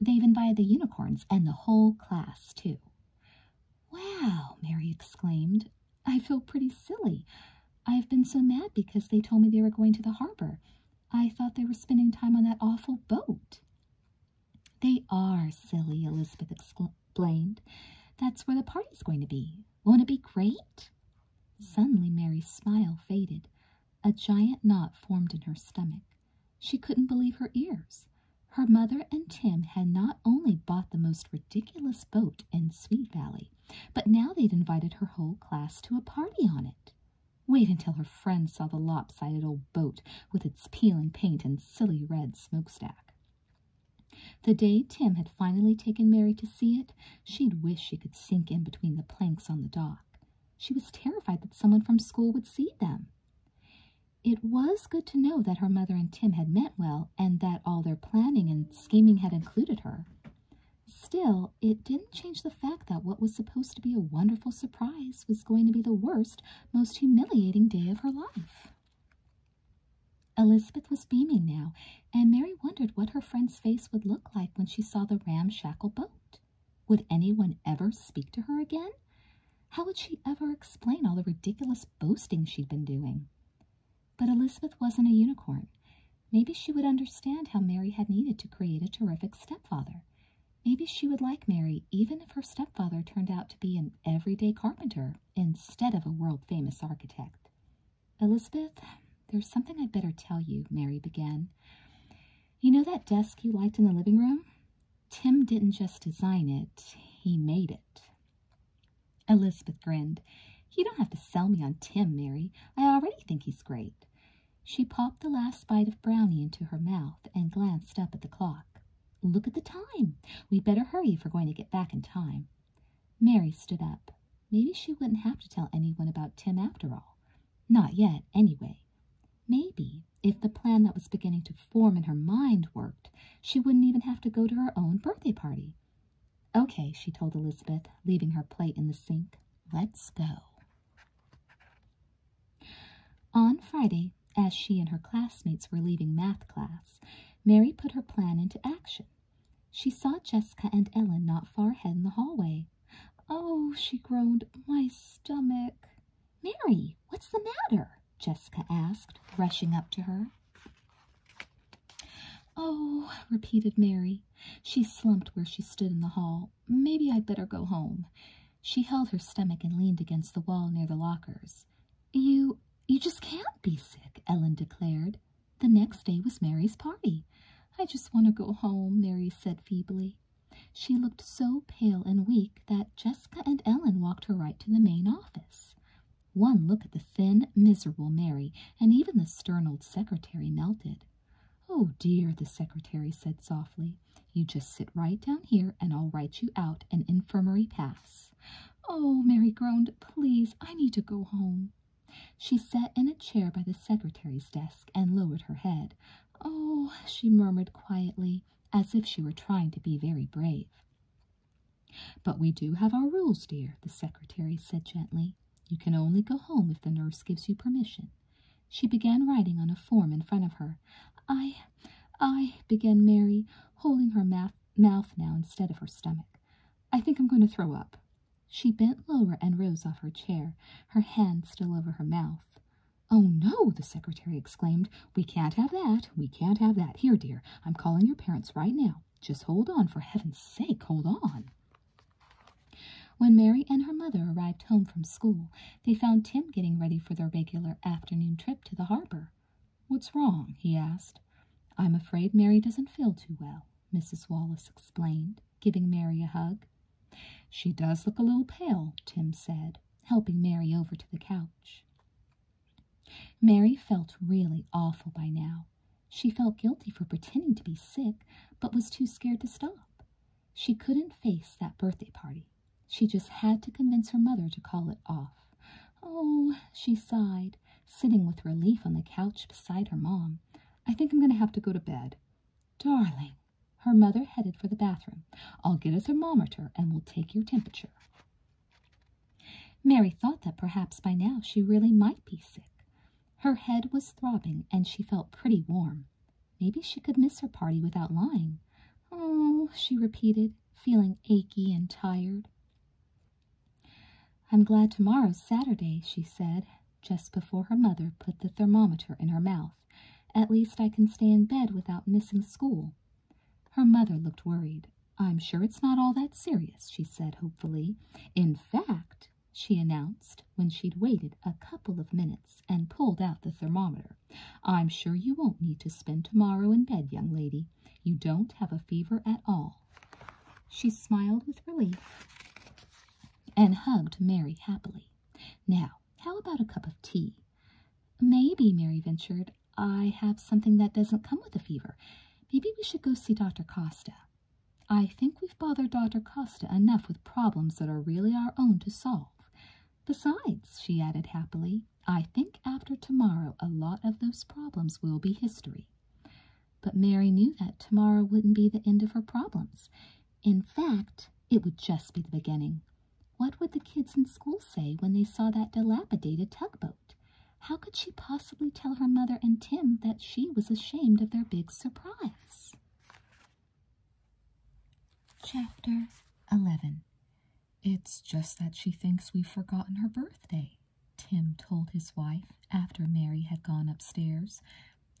They've invited the unicorns and the whole class, too. Wow, Mary exclaimed. I feel pretty silly. I've been so mad because they told me they were going to the harbor. I thought they were spending time on that awful boat. They are silly, Elizabeth explained. That's where the party's going to be. Won't it be great? Suddenly, Mary's smile faded. A giant knot formed in her stomach. She couldn't believe her ears. Her mother and Tim had not only bought the most ridiculous boat in Sweet Valley, but now they'd invited her whole class to a party on it. Wait until her friends saw the lopsided old boat with its peeling paint and silly red smokestack. The day Tim had finally taken Mary to see it, she'd wish she could sink in between the planks on the dock. She was terrified that someone from school would see them. It was good to know that her mother and Tim had meant well and that all their planning and scheming had included her. Still, it didn't change the fact that what was supposed to be a wonderful surprise was going to be the worst, most humiliating day of her life. Elizabeth was beaming now, and Mary wondered what her friend's face would look like when she saw the ramshackle boat. Would anyone ever speak to her again? How would she ever explain all the ridiculous boasting she'd been doing? But Elizabeth wasn't a unicorn. Maybe she would understand how Mary had needed to create a terrific stepfather. Maybe she would like Mary even if her stepfather turned out to be an everyday carpenter instead of a world famous architect. Elizabeth, there's something I'd better tell you, Mary began. You know that desk you liked in the living room? Tim didn't just design it, he made it. Elizabeth grinned. You don't have to sell me on Tim, Mary. I already think he's great. She popped the last bite of brownie into her mouth and glanced up at the clock. Look at the time. We'd better hurry if we're going to get back in time. Mary stood up. Maybe she wouldn't have to tell anyone about Tim after all. Not yet, anyway. Maybe, if the plan that was beginning to form in her mind worked, she wouldn't even have to go to her own birthday party. Okay, she told Elizabeth, leaving her plate in the sink. Let's go. On Friday, as she and her classmates were leaving math class, Mary put her plan into action. She saw Jessica and Ellen not far ahead in the hallway. Oh, she groaned, my stomach. Mary, what's the matter? Jessica asked, rushing up to her. Oh, repeated Mary, she slumped where she stood in the hall. Maybe I'd better go home. She held her stomach and leaned against the wall near the lockers. You you just can't be sick, Ellen declared. The next day was Mary's party. I just want to go home, Mary said feebly. She looked so pale and weak that Jessica and Ellen walked her right to the main office. One look at the thin, miserable Mary, and even the stern old secretary melted. Oh dear, the secretary said softly. You just sit right down here and I'll write you out an infirmary pass. Oh, Mary groaned, please, I need to go home. She sat in a chair by the secretary's desk and lowered her head. Oh, she murmured quietly, as if she were trying to be very brave. But we do have our rules, dear, the secretary said gently. You can only go home if the nurse gives you permission. She began writing on a form in front of her. I, I, began Mary, holding her mouth now instead of her stomach. I think I'm going to throw up. She bent lower and rose off her chair, her hand still over her mouth. Oh, no, the secretary exclaimed. We can't have that. We can't have that. Here, dear, I'm calling your parents right now. Just hold on, for heaven's sake, hold on. When Mary and her mother arrived home from school, they found Tim getting ready for their regular afternoon trip to the harbor. What's wrong? he asked. I'm afraid Mary doesn't feel too well, Mrs. Wallace explained, giving Mary a hug. She does look a little pale, Tim said, helping Mary over to the couch. Mary felt really awful by now. She felt guilty for pretending to be sick, but was too scared to stop. She couldn't face that birthday party. She just had to convince her mother to call it off. Oh, she sighed, sitting with relief on the couch beside her mom. I think I'm going to have to go to bed. Darling, her mother headed for the bathroom. I'll get a thermometer and we'll take your temperature. Mary thought that perhaps by now she really might be sick. Her head was throbbing and she felt pretty warm. Maybe she could miss her party without lying. Oh, she repeated, feeling achy and tired. I'm glad tomorrow's Saturday, she said, just before her mother put the thermometer in her mouth. At least I can stay in bed without missing school. Her mother looked worried. I'm sure it's not all that serious, she said hopefully. In fact, she announced when she'd waited a couple of minutes and pulled out the thermometer. I'm sure you won't need to spend tomorrow in bed, young lady. You don't have a fever at all. She smiled with relief and hugged Mary happily. Now, how about a cup of tea? Maybe, Mary ventured, I have something that doesn't come with a fever. Maybe we should go see Dr. Costa. I think we've bothered Dr. Costa enough with problems that are really our own to solve. Besides, she added happily, I think after tomorrow a lot of those problems will be history. But Mary knew that tomorrow wouldn't be the end of her problems. In fact, it would just be the beginning. What would the kids in school say when they saw that dilapidated tugboat? How could she possibly tell her mother and Tim that she was ashamed of their big surprise? Chapter 11 It's just that she thinks we've forgotten her birthday, Tim told his wife after Mary had gone upstairs.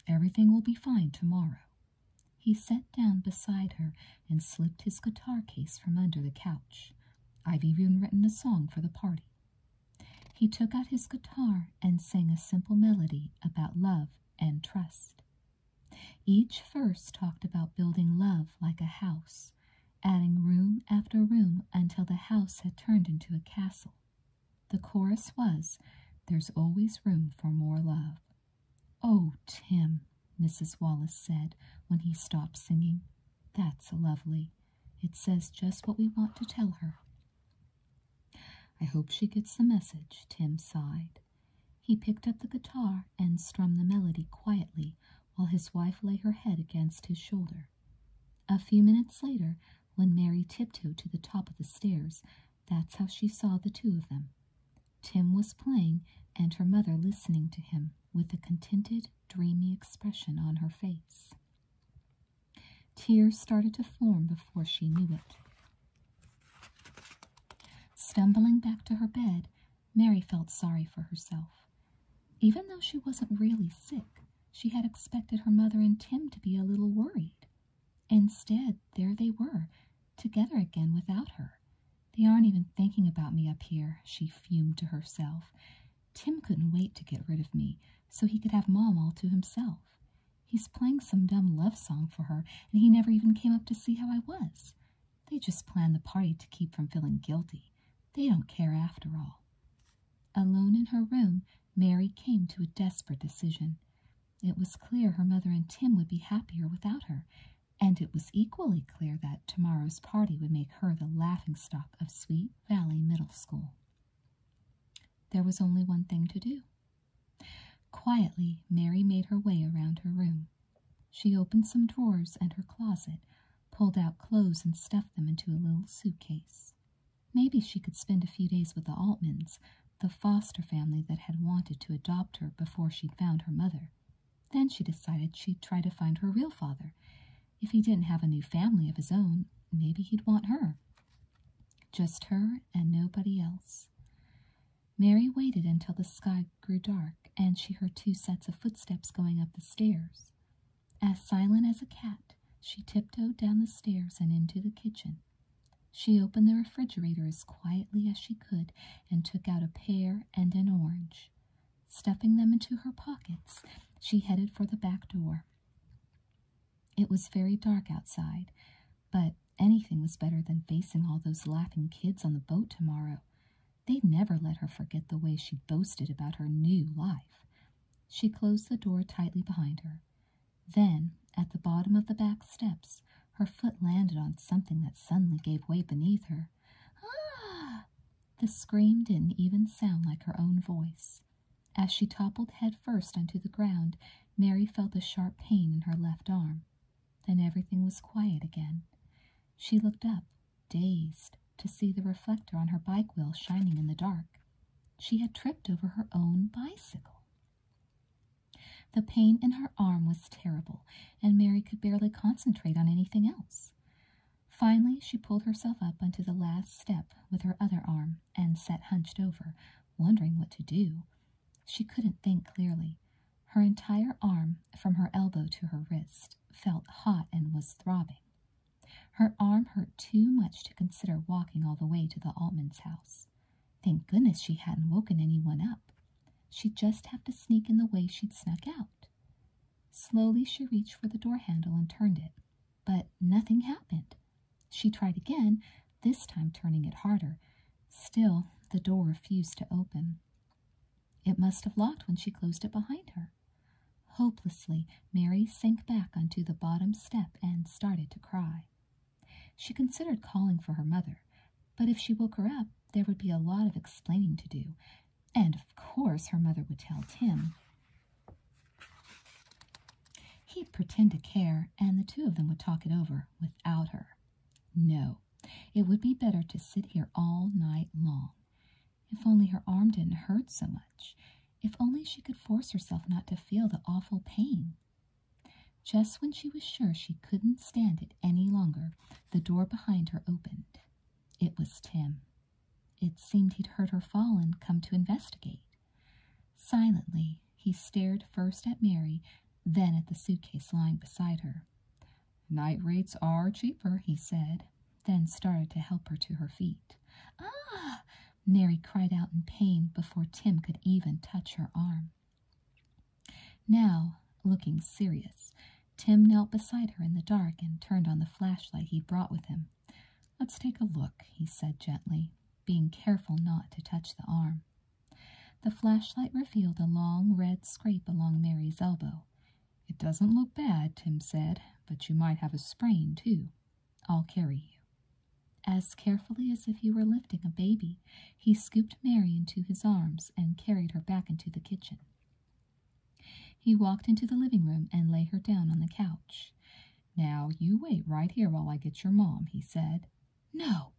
Everything will be fine tomorrow. He sat down beside her and slipped his guitar case from under the couch. I've even written a song for the party. He took out his guitar and sang a simple melody about love and trust. Each verse talked about building love like a house, adding room after room until the house had turned into a castle. The chorus was, There's always room for more love. Oh, Tim, Mrs. Wallace said when he stopped singing. That's lovely. It says just what we want to tell her. I hope she gets the message, Tim sighed. He picked up the guitar and strummed the melody quietly while his wife lay her head against his shoulder. A few minutes later, when Mary tiptoed to the top of the stairs, that's how she saw the two of them. Tim was playing and her mother listening to him with a contented, dreamy expression on her face. Tears started to form before she knew it. Stumbling back to her bed, Mary felt sorry for herself. Even though she wasn't really sick, she had expected her mother and Tim to be a little worried. Instead, there they were, together again without her. They aren't even thinking about me up here, she fumed to herself. Tim couldn't wait to get rid of me, so he could have Mom all to himself. He's playing some dumb love song for her, and he never even came up to see how I was. They just planned the party to keep from feeling guilty. They don't care after all. Alone in her room, Mary came to a desperate decision. It was clear her mother and Tim would be happier without her, and it was equally clear that tomorrow's party would make her the laughingstock of Sweet Valley Middle School. There was only one thing to do. Quietly, Mary made her way around her room. She opened some drawers and her closet, pulled out clothes, and stuffed them into a little suitcase. Maybe she could spend a few days with the Altmans, the foster family that had wanted to adopt her before she'd found her mother. Then she decided she'd try to find her real father. If he didn't have a new family of his own, maybe he'd want her. Just her and nobody else. Mary waited until the sky grew dark and she heard two sets of footsteps going up the stairs. As silent as a cat, she tiptoed down the stairs and into the kitchen. She opened the refrigerator as quietly as she could and took out a pear and an orange. Stuffing them into her pockets, she headed for the back door. It was very dark outside, but anything was better than facing all those laughing kids on the boat tomorrow. They'd never let her forget the way she boasted about her new life. She closed the door tightly behind her. Then, at the bottom of the back steps, her foot landed on something that suddenly gave way beneath her. Ah! The scream didn't even sound like her own voice. As she toppled head first onto the ground, Mary felt a sharp pain in her left arm. Then everything was quiet again. She looked up, dazed, to see the reflector on her bike wheel shining in the dark. She had tripped over her own bicycle. The pain in her arm was terrible, and Mary could barely concentrate on anything else. Finally, she pulled herself up onto the last step with her other arm and sat hunched over, wondering what to do she couldn't think clearly. Her entire arm, from her elbow to her wrist, felt hot and was throbbing. Her arm hurt too much to consider walking all the way to the Altman's house. Thank goodness she hadn't woken anyone up. She'd just have to sneak in the way she'd snuck out. Slowly she reached for the door handle and turned it, but nothing happened. She tried again, this time turning it harder. Still, the door refused to open. It must have locked when she closed it behind her. Hopelessly, Mary sank back onto the bottom step and started to cry. She considered calling for her mother, but if she woke her up, there would be a lot of explaining to do, and of course her mother would tell Tim. He'd pretend to care, and the two of them would talk it over without her. No, it would be better to sit here all night long. If only her arm didn't hurt so much. If only she could force herself not to feel the awful pain. Just when she was sure she couldn't stand it any longer, the door behind her opened. It was Tim. It seemed he'd heard her fall and come to investigate. Silently, he stared first at Mary, then at the suitcase lying beside her. Night rates are cheaper, he said, then started to help her to her feet. Ah! Mary cried out in pain before Tim could even touch her arm. Now, looking serious, Tim knelt beside her in the dark and turned on the flashlight he brought with him. Let's take a look, he said gently, being careful not to touch the arm. The flashlight revealed a long red scrape along Mary's elbow. It doesn't look bad, Tim said, but you might have a sprain, too. I'll carry you. As carefully as if he were lifting a baby, he scooped Mary into his arms and carried her back into the kitchen. He walked into the living room and lay her down on the couch. Now, you wait right here while I get your mom, he said, no,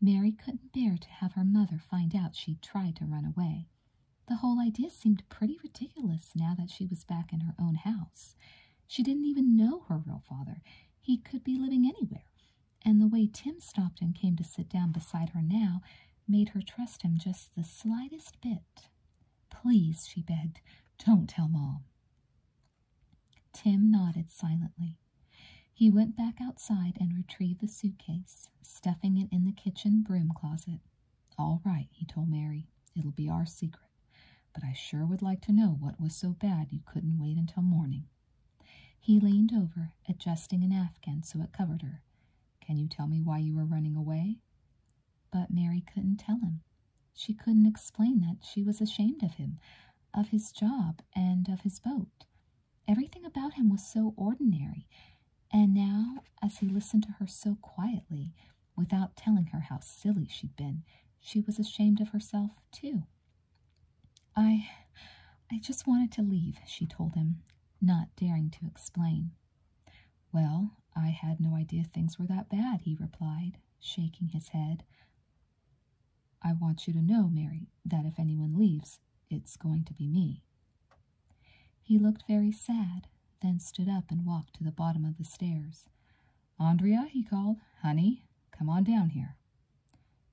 Mary couldn't bear to have her mother find out she'd tried to run away. The whole idea seemed pretty ridiculous now that she was back in her own house. She didn't even know her real father. He could be living anywhere. And the way Tim stopped came to sit down beside her now made her trust him just the slightest bit. Please, she begged, don't tell Mom. Tim nodded silently. He went back outside and retrieved the suitcase, stuffing it in the kitchen broom closet. All right, he told Mary. It'll be our secret, but I sure would like to know what was so bad you couldn't wait until morning. He leaned over, adjusting an afghan so it covered her. Can you tell me why you were running away? But Mary couldn't tell him. She couldn't explain that she was ashamed of him, of his job, and of his boat. Everything about him was so ordinary, and now, as he listened to her so quietly, without telling her how silly she'd been, she was ashamed of herself, too. I. I just wanted to leave, she told him, not daring to explain. Well, I had no idea things were that bad, he replied, shaking his head. I want you to know, Mary, that if anyone leaves, it's going to be me. He looked very sad, then stood up and walked to the bottom of the stairs. Andrea, he called, honey, come on down here.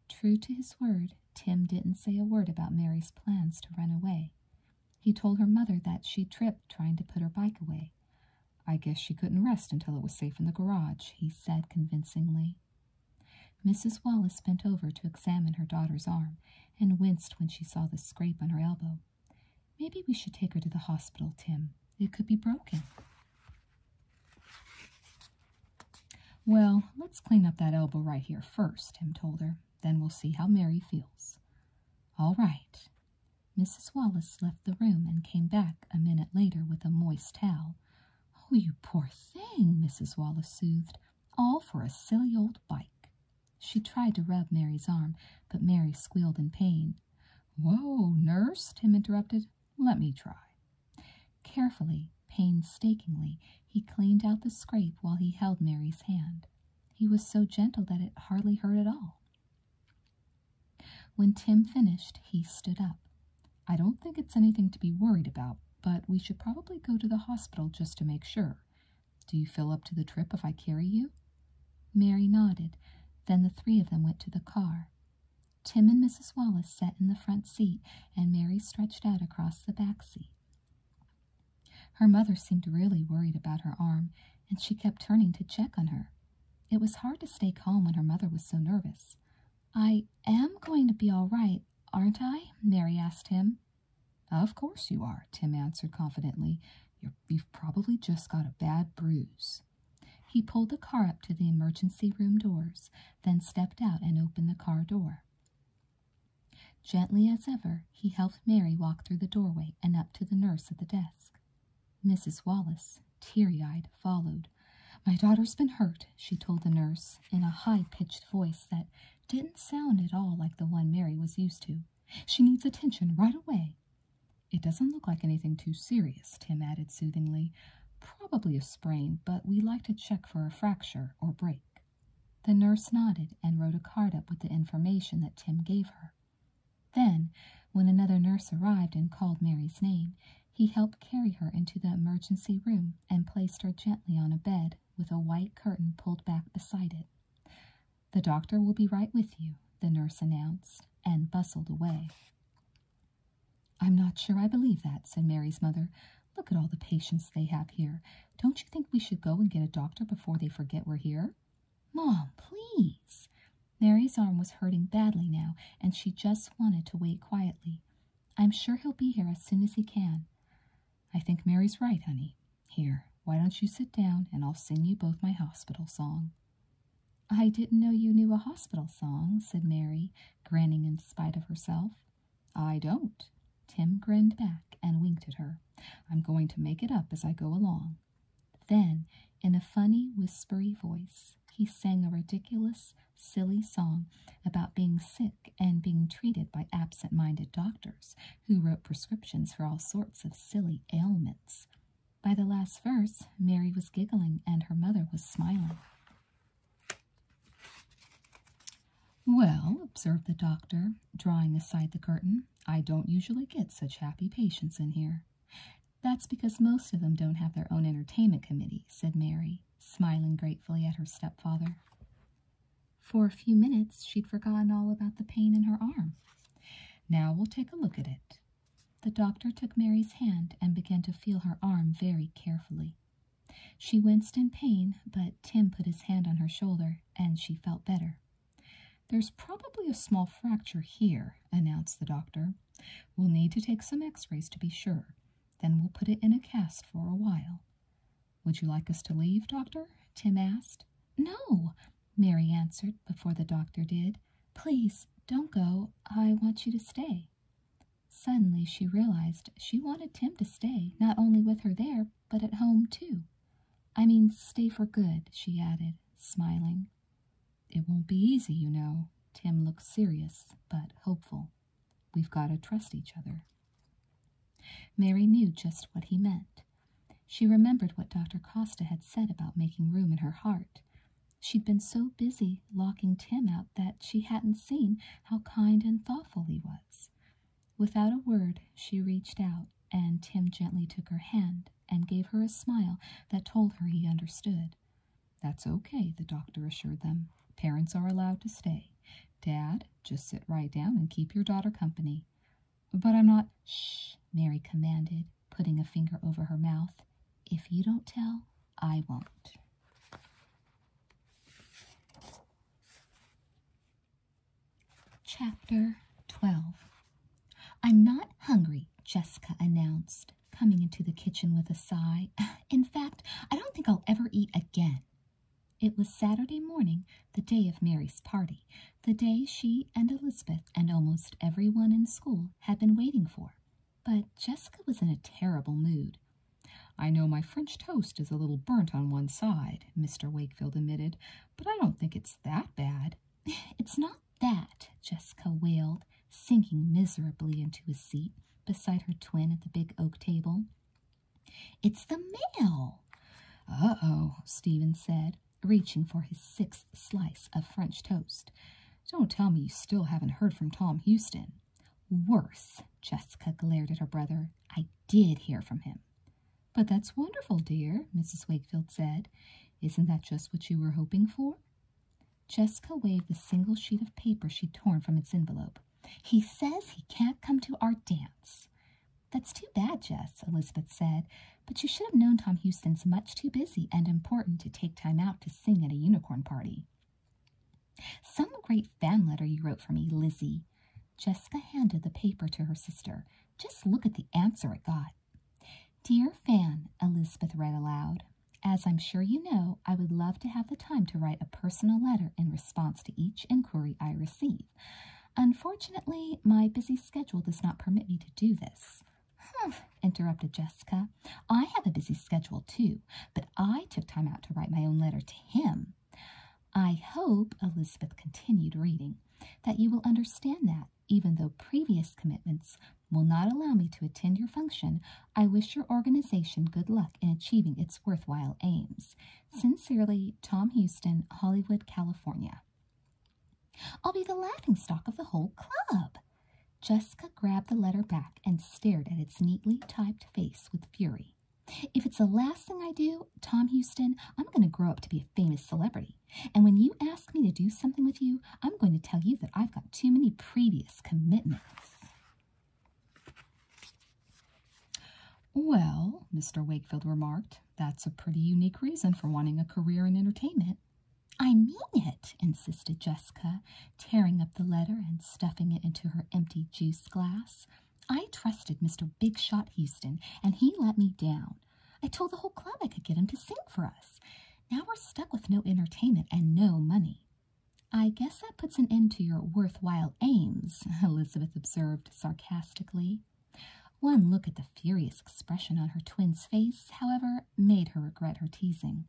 True to his word, Tim didn't say a word about Mary's plans to run away. He told her mother that she tripped trying to put her bike away. I guess she couldn't rest until it was safe in the garage, he said convincingly. Mrs. Wallace bent over to examine her daughter's arm and winced when she saw the scrape on her elbow. Maybe we should take her to the hospital, Tim. It could be broken. Well, let's clean up that elbow right here first, Tim told her. Then we'll see how Mary feels. All right. Mrs. Wallace left the room and came back a minute later with a moist towel, Oh, you poor thing, Mrs. Wallace soothed. All for a silly old bike. She tried to rub Mary's arm, but Mary squealed in pain. Whoa, nurse, Tim interrupted. Let me try. Carefully, painstakingly, he cleaned out the scrape while he held Mary's hand. He was so gentle that it hardly hurt at all. When Tim finished, he stood up. I don't think it's anything to be worried about, but we should probably go to the hospital just to make sure. Do you fill up to the trip if I carry you? Mary nodded. Then the three of them went to the car. Tim and Mrs. Wallace sat in the front seat, and Mary stretched out across the back seat. Her mother seemed really worried about her arm, and she kept turning to check on her. It was hard to stay calm when her mother was so nervous. I am going to be all right, aren't I? Mary asked him. Of course you are, Tim answered confidently. you you've probably just got a bad bruise. He pulled the car up to the emergency room doors, then stepped out and opened the car door. Gently as ever, he helped Mary walk through the doorway and up to the nurse at the desk. Mrs. Wallace, teary eyed, followed, my daughter's been hurt, she told the nurse in a high pitched voice that didn't sound at all like the one Mary was used to. She needs attention right away. It doesn't look like anything too serious, Tim added soothingly. Probably a sprain, but we like to check for a fracture or break. The nurse nodded and wrote a card up with the information that Tim gave her. Then, when another nurse arrived and called Mary's name, he helped carry her into the emergency room and placed her gently on a bed with a white curtain pulled back beside it. The doctor will be right with you, the nurse announced, and bustled away. I'm not sure I believe that, said Mary's mother. Look at all the patients they have here. Don't you think we should go and get a doctor before they forget we're here? Mom, please. Mary's arm was hurting badly now, and she just wanted to wait quietly. I'm sure he'll be here as soon as he can. I think Mary's right, honey. Here, why don't you sit down and I'll sing you both my hospital song? I didn't know you knew a hospital song, said Mary, grinning in spite of herself. I don't. Tim grinned back and winked at her. I'm going to make it up as I go along. Then, in a funny, whispery voice, he sang a ridiculous, silly song about being sick and being treated by absent minded doctors who wrote prescriptions for all sorts of silly ailments. By the last verse, Mary was giggling and her mother was smiling. Well, observed the doctor, drawing aside the curtain, I don't usually get such happy patients in here. That's because most of them don't have their own entertainment committee, said Mary, smiling gratefully at her stepfather. For a few minutes, she'd forgotten all about the pain in her arm. Now we'll take a look at it. The doctor took Mary's hand and began to feel her arm very carefully. She winced in pain, but Tim put his hand on her shoulder and she felt better. There's probably a small fracture here, announced the doctor. We'll need to take some x rays to be sure. Then we'll put it in a cast for a while. Would you like us to leave, Doctor? Tim asked. No, Mary answered before the doctor did. Please don't go. I want you to stay. Suddenly she realized she wanted Tim to stay, not only with her there, but at home too. I mean, stay for good, she added, smiling. It won't be easy, you know. Tim looked serious, but hopeful. We've got to trust each other. Mary knew just what he meant. She remembered what Dr. Costa had said about making room in her heart. She'd been so busy locking Tim out that she hadn't seen how kind and thoughtful he was. Without a word, she reached out, and Tim gently took her hand and gave her a smile that told her he understood. That's okay, the doctor assured them. Parents are allowed to stay. Dad, just sit right down and keep your daughter company. But I'm not. Sh! Mary commanded, putting a finger over her mouth. If you don't tell, I won't. Chapter 12 I'm not hungry, Jessica announced, coming into the kitchen with a sigh. In fact, I don't think I'll ever eat again. It was Saturday morning, the day of Mary's party, the day she and Elizabeth and almost everyone in school had been waiting for. But Jessica was in a terrible mood. I know my French toast is a little burnt on one side, Mr. Wakefield admitted, but I don't think it's that bad. It's not that, Jessica wailed, sinking miserably into a seat beside her twin at the big oak table. It's the mail. Uh oh, Stephen said, reaching for his sixth slice of French toast. Don't tell me you still haven't heard from Tom Houston. Worse, Jessica glared at her brother. I did hear from him. But that's wonderful, dear, Mrs. Wakefield said. Isn't that just what you were hoping for? Jessica waved the single sheet of paper she'd torn from its envelope. He says he can't come to our dance. That's too bad, Jess, Elizabeth said, but you should have known Tom Houston's much too busy and important to take time out to sing at a unicorn party. Some great fan letter you wrote for me, Lizzie. Jessica handed the paper to her sister. Just look at the answer it got. Dear Fan, Elizabeth read aloud, as I'm sure you know, I would love to have the time to write a personal letter in response to each inquiry I receive. Unfortunately, my busy schedule does not permit me to do this. interrupted Jessica. I have a busy schedule too, but I took time out to write my own letter to him. I hope, Elizabeth continued reading, that you will understand that, even though previous commitments will not allow me to attend your function, I wish your organization good luck in achieving its worthwhile aims. Sincerely, Tom Houston, Hollywood, California. I'll be the laughing stock of the whole club. Jessica grabbed the letter back and stared at its neatly typed face with fury. If it's the last thing I do, Tom Houston, I'm going to grow up to be a famous celebrity. And when you ask me to do something with you, I'm going to tell you that I've got too many previous commitments. Well, Mr. Wakefield remarked, that's a pretty unique reason for wanting a career in entertainment. I mean it, insisted Jessica, tearing up the letter and stuffing it into her empty juice glass. I trusted Mr. Big Shot Houston, and he let me down. I told the whole club I could get him to sing for us. Now we're stuck with no entertainment and no money. I guess that puts an end to your worthwhile aims, Elizabeth observed sarcastically. One look at the furious expression on her twin's face, however, made her regret her teasing.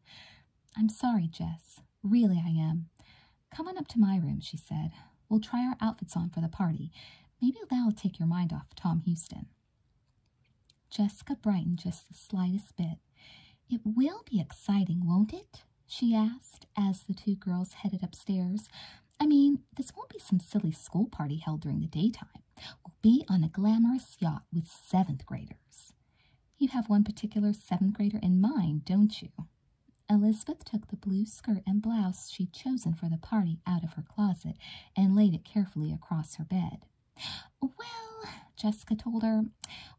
I'm sorry, Jess. Really, I am. Come on up to my room, she said. We'll try our outfits on for the party. Maybe that'll take your mind off Tom Houston. Jessica brightened just the slightest bit. It will be exciting, won't it? she asked as the two girls headed upstairs. I mean, this won't be some silly school party held during the daytime. We'll be on a glamorous yacht with seventh graders. You have one particular seventh grader in mind, don't you? Elizabeth took the blue skirt and blouse she'd chosen for the party out of her closet and laid it carefully across her bed. Well, Jessica told her,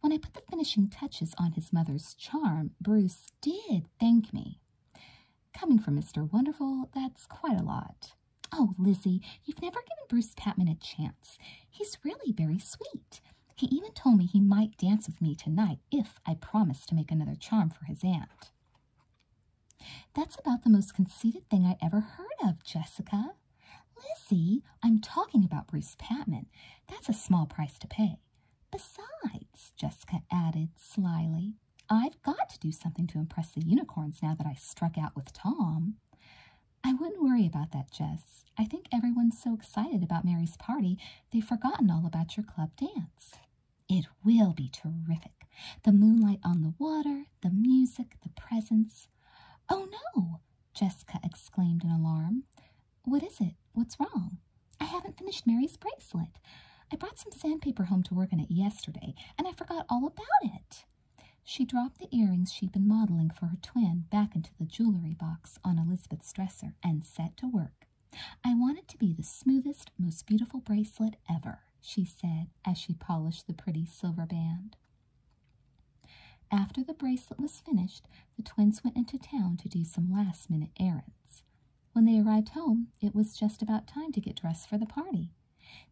when I put the finishing touches on his mother's charm, Bruce did thank me. Coming from Mr. Wonderful, that's quite a lot. Oh, Lizzie, you've never given Bruce Patman a chance. He's really very sweet. He even told me he might dance with me tonight if I promised to make another charm for his aunt. That's about the most conceited thing I ever heard of, Jessica. Lizzie, I'm talking about Bruce Patman. That's a small price to pay. Besides, Jessica added slyly, I've got to do something to impress the unicorns now that I struck out with Tom. I wouldn't worry about that, Jess. I think everyone's so excited about Mary's party, they've forgotten all about your club dance. It will be terrific. The moonlight on the water, the music, the presents. Oh no! Jessica exclaimed in alarm. What is it? What's wrong? I haven't finished Mary's bracelet. I brought some sandpaper home to work on it yesterday, and I forgot all about it. She dropped the earrings she'd been modeling for her twin back into the jewelry box on Elizabeth's dresser and set to work. I want it to be the smoothest, most beautiful bracelet ever, she said as she polished the pretty silver band. After the bracelet was finished, the twins went into town to do some last minute errands. When they arrived home, it was just about time to get dressed for the party.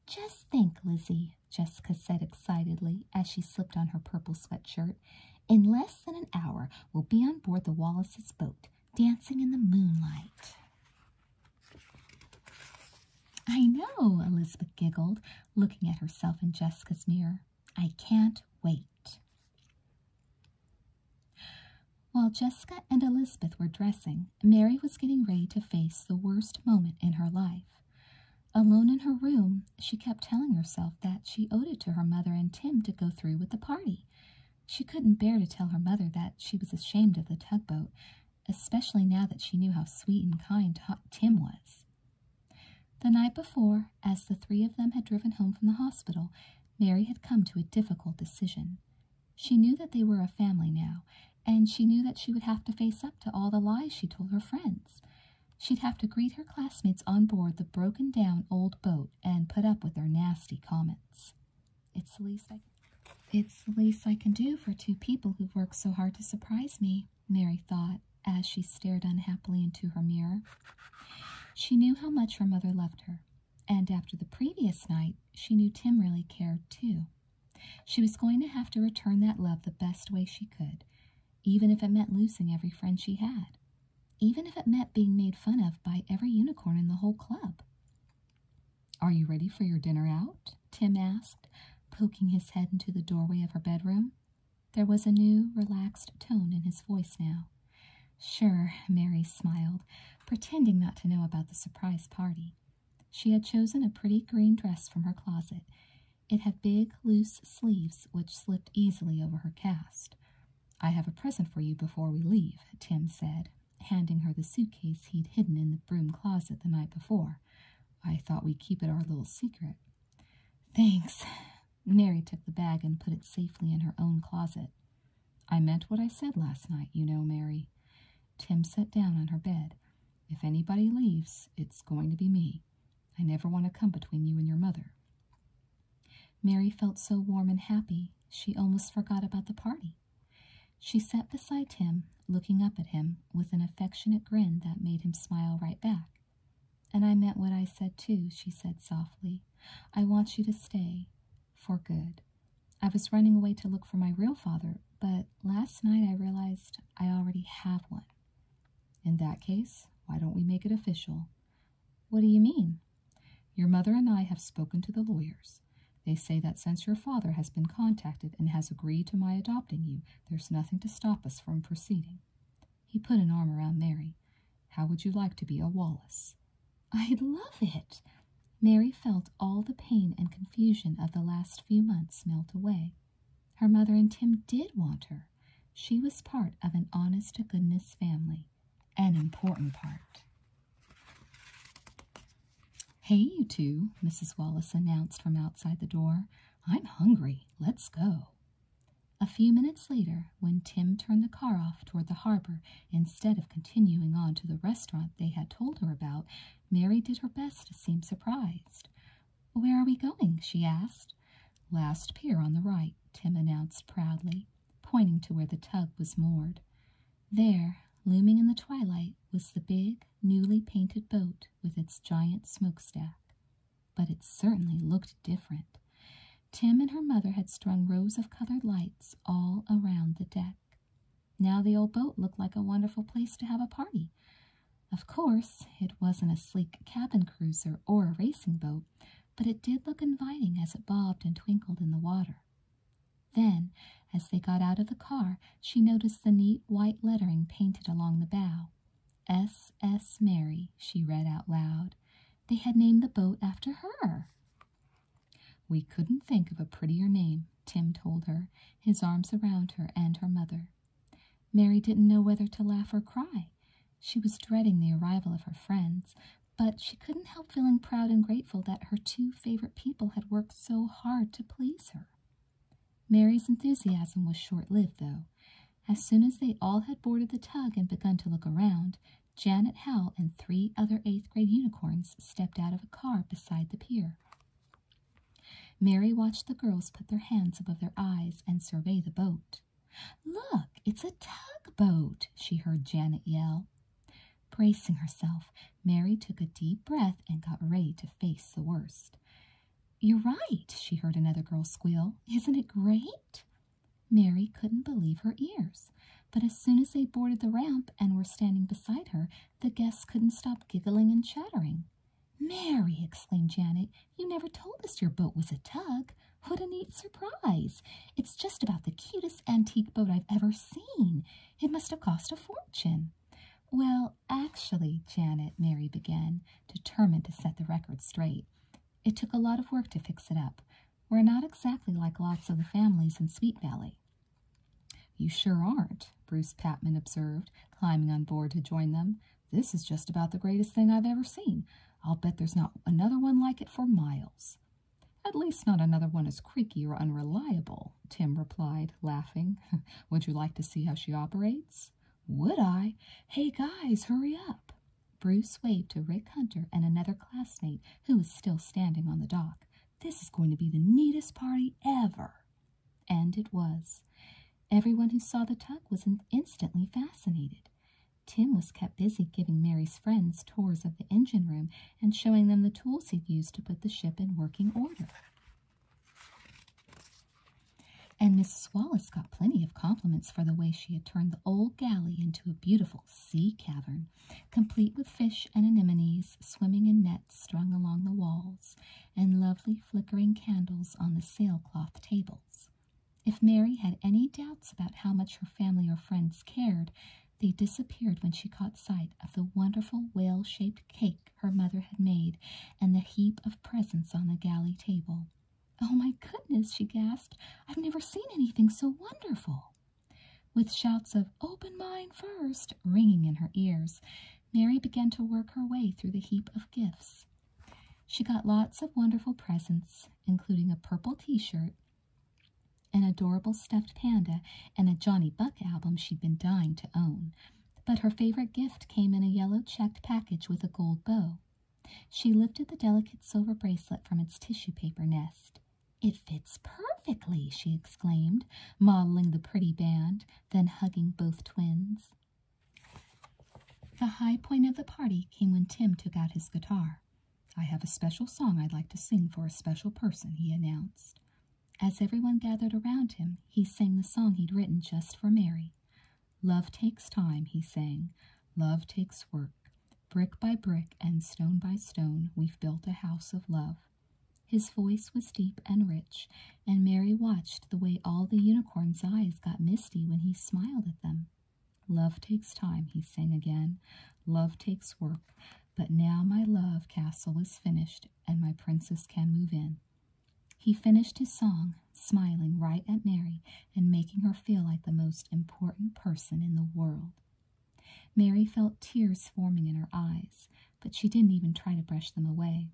Just think, Lizzie, Jessica said excitedly as she slipped on her purple sweatshirt. In less than an hour, we'll be on board the Wallace's boat, dancing in the moonlight. I know, Elizabeth giggled, looking at herself in Jessica's mirror. I can't wait. While Jessica and Elizabeth were dressing, Mary was getting ready to face the worst moment in her life. Alone in her room, she kept telling herself that she owed it to her mother and Tim to go through with the party. She couldn't bear to tell her mother that she was ashamed of the tugboat, especially now that she knew how sweet and kind Tim was. The night before, as the three of them had driven home from the hospital, Mary had come to a difficult decision. She knew that they were a family now, and she knew that she would have to face up to all the lies she told her friends. She'd have to greet her classmates on board the broken down old boat and put up with their nasty comments. It's the least I it's the least I can do for two people who've worked so hard to surprise me, Mary thought as she stared unhappily into her mirror. She knew how much her mother loved her, and after the previous night, she knew Tim really cared too. She was going to have to return that love the best way she could, even if it meant losing every friend she had, even if it meant being made fun of by every unicorn in the whole club. Are you ready for your dinner out? Tim asked, poking his head into the doorway of her bedroom. There was a new, relaxed tone in his voice now. Sure, Mary smiled, pretending not to know about the surprise party. She had chosen a pretty green dress from her closet. It had big, loose sleeves which slipped easily over her cast. I have a present for you before we leave, Tim said, handing her the suitcase he'd hidden in the broom closet the night before. I thought we'd keep it our little secret. Thanks. Mary took the bag and put it safely in her own closet. I meant what I said last night, you know, Mary. Tim sat down on her bed. If anybody leaves, it's going to be me. I never want to come between you and your mother. Mary felt so warm and happy, she almost forgot about the party. She sat beside him, looking up at him with an affectionate grin that made him smile right back. And I meant what I said, too, she said softly. I want you to stay, for good. I was running away to look for my real father, but last night I realized I already have one. In that case, why don't we make it official? What do you mean? Your mother and I have spoken to the lawyers. They say that since your father has been contacted and has agreed to my adopting you, there's nothing to stop us from proceeding. He put an arm around Mary. How would you like to be a Wallace? I would love it. Mary felt all the pain and confusion of the last few months melt away. Her mother and Tim did want her. She was part of an honest to goodness family, an important part. Hey, you two, Mrs. Wallace announced from outside the door. I'm hungry. Let's go. A few minutes later, when Tim turned the car off toward the harbor, Instead of continuing on to the restaurant they had told her about, Mary did her best to seem surprised. Where are we going? she asked. Last pier on the right, Tim announced proudly, pointing to where the tug was moored. There, looming in the twilight, was the big, newly painted boat with its giant smokestack. But it certainly looked different. Tim and her mother had strung rows of colored lights all around the deck. Now the old boat looked like a wonderful place to have a party. Of course, it wasn't a sleek cabin cruiser or a racing boat, but it did look inviting as it bobbed and twinkled in the water. Then, as they got out of the car, she noticed the neat white lettering painted along the bow. S.S. Mary, she read out loud. They had named the boat after her. We couldn't think of a prettier name, Tim told her, his arms around her and her mother. Mary didn't know whether to laugh or cry. She was dreading the arrival of her friends, but she couldn't help feeling proud and grateful that her two favorite people had worked so hard to please her. Mary's enthusiasm was short lived, though. As soon as they all had boarded the tug and begun to look around, Janet Howell and three other eighth grade unicorns stepped out of a car beside the pier. Mary watched the girls put their hands above their eyes and survey the boat. Look, it's a tugboat, she heard Janet yell. Bracing herself, Mary took a deep breath and got ready to face the worst. You're right, she heard another girl squeal. Isn't it great? Mary couldn't believe her ears but as soon as they boarded the ramp and were standing beside her, the guests couldn't stop giggling and chattering. Mary, exclaimed Janet, you never told us your boat was a tug. What a neat surprise! It's just about the cutest antique boat I've ever seen. It must have cost a fortune. Well, actually, Janet, Mary began, determined to set the record straight. It took a lot of work to fix it up. We're not exactly like lots of the families in Sweet Valley. You sure aren't, Bruce Patman observed, climbing on board to join them. This is just about the greatest thing I've ever seen. I'll bet there's not another one like it for miles. At least not another one as creaky or unreliable, Tim replied, laughing. Would you like to see how she operates? Would I? Hey, guys, hurry up. Bruce waved to Rick Hunter and another classmate who was still standing on the dock. This is going to be the neatest party ever. And it was. Everyone who saw the tug was instantly fascinated. Tim was kept busy giving Mary's friends tours of the engine room and showing them the tools he'd used to put the ship in working order. And Mrs. Wallace got plenty of compliments for the way she had turned the old galley into a beautiful sea cavern complete with fish and anemones swimming in nets strung along the walls, and lovely flickering candles on the sailcloth tables. If Mary had any doubts about how much her family or friends cared, they disappeared when she caught sight of the wonderful whale shaped cake her mother had made and the heap of presents on the galley table. Oh, my goodness, she gasped. I've never seen anything so wonderful. With shouts of open mine first!" ringing in her ears, Mary began to work her way through the heap of gifts. She got lots of wonderful presents, including a purple t shirt, an adorable stuffed panda, and a Johnny Buck album she'd been dying to own. But her favorite gift came in a yellow checked package with a gold bow. She lifted the delicate silver bracelet from its tissue paper nest. It fits perfectly, she exclaimed, modeling the pretty band, then hugging both twins. The high point of the party came when Tim took out his guitar. I have a special song I'd like to sing for a special person, he announced. As everyone gathered around him, he sang the song he'd written just for Mary. Love takes time, he sang. Love takes work. Brick by brick and stone by stone, we've built a house of love. His voice was deep and rich, and Mary watched the way all the unicorn's eyes got misty when he smiled at them. Love takes time, he sang again. Love takes work, but now my love castle is finished, and my princess can move in. He finished his song, smiling right at Mary and making her feel like the most important person in the world. Mary felt tears forming in her eyes, but she didn't even try to brush them away.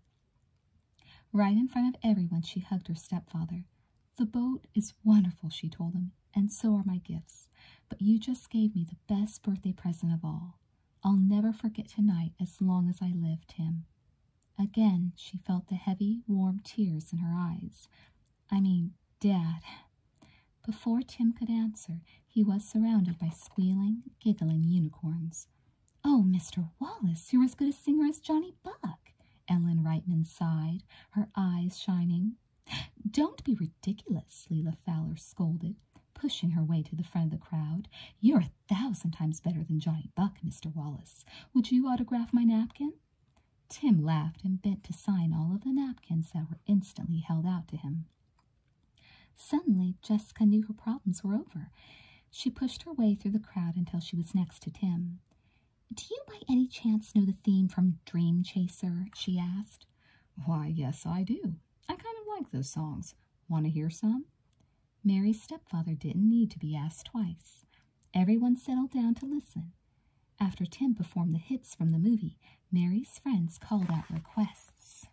Right in front of everyone, she hugged her stepfather. The boat is wonderful, she told him, and so are my gifts, but you just gave me the best birthday present of all. I'll never forget tonight as long as I live, Tim. Again, she felt the heavy, warm tears in her eyes. I mean, Dad. Before Tim could answer, he was surrounded by squealing, giggling unicorns. Oh, Mr. Wallace, you're as good a singer as Johnny Buck, Ellen Reitman sighed, her eyes shining. Don't be ridiculous, Leela Fowler scolded, pushing her way to the front of the crowd. You're a thousand times better than Johnny Buck, Mr. Wallace. Would you autograph my napkin? Tim laughed and bent to sign all of the napkins that were instantly held out to him. Suddenly, Jessica knew her problems were over. She pushed her way through the crowd until she was next to Tim. Do you by any chance know the theme from Dream Chaser? she asked. Why, yes, I do. I kind of like those songs. Want to hear some? Mary's stepfather didn't need to be asked twice. Everyone settled down to listen. After Tim performed the hits from the movie, Mary's friends called out requests.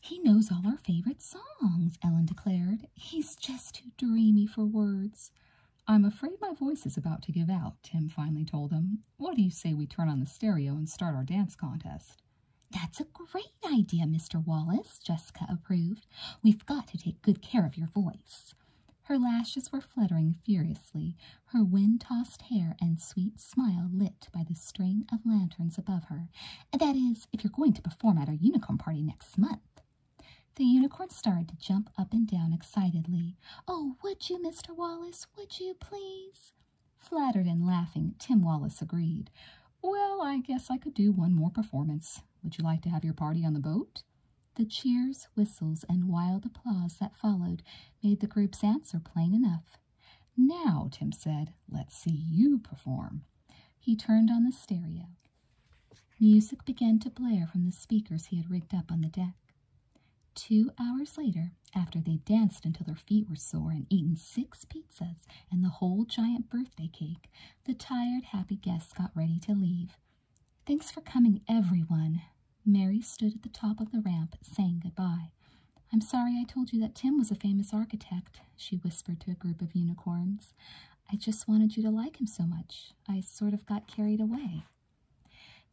He knows all our favorite songs, Ellen declared. He's just too dreamy for words. I'm afraid my voice is about to give out, Tim finally told them. What do you say we turn on the stereo and start our dance contest? That's a great idea, Mr. Wallace, Jessica approved. We've got to take good care of your voice. Her lashes were fluttering furiously, her wind tossed hair and sweet smile lit by the string of lanterns above her. That is, if you're going to perform at our unicorn party next month. The unicorn started to jump up and down excitedly. Oh, would you, Mr. Wallace? Would you please? Flattered and laughing, Tim Wallace agreed. Well, I guess I could do one more performance. Would you like to have your party on the boat? The cheers, whistles, and wild applause that followed made the group's answer plain enough. Now, Tim said, let's see you perform. He turned on the stereo. Music began to blare from the speakers he had rigged up on the deck. Two hours later, after they danced until their feet were sore and eaten six pizzas and the whole giant birthday cake, the tired, happy guests got ready to leave. Thanks for coming, everyone. Mary stood at the top of the ramp, saying goodbye. I? am sorry I told you that Tim was a famous architect, she whispered to a group of unicorns. I just wanted you to like him so much. I sort of got carried away.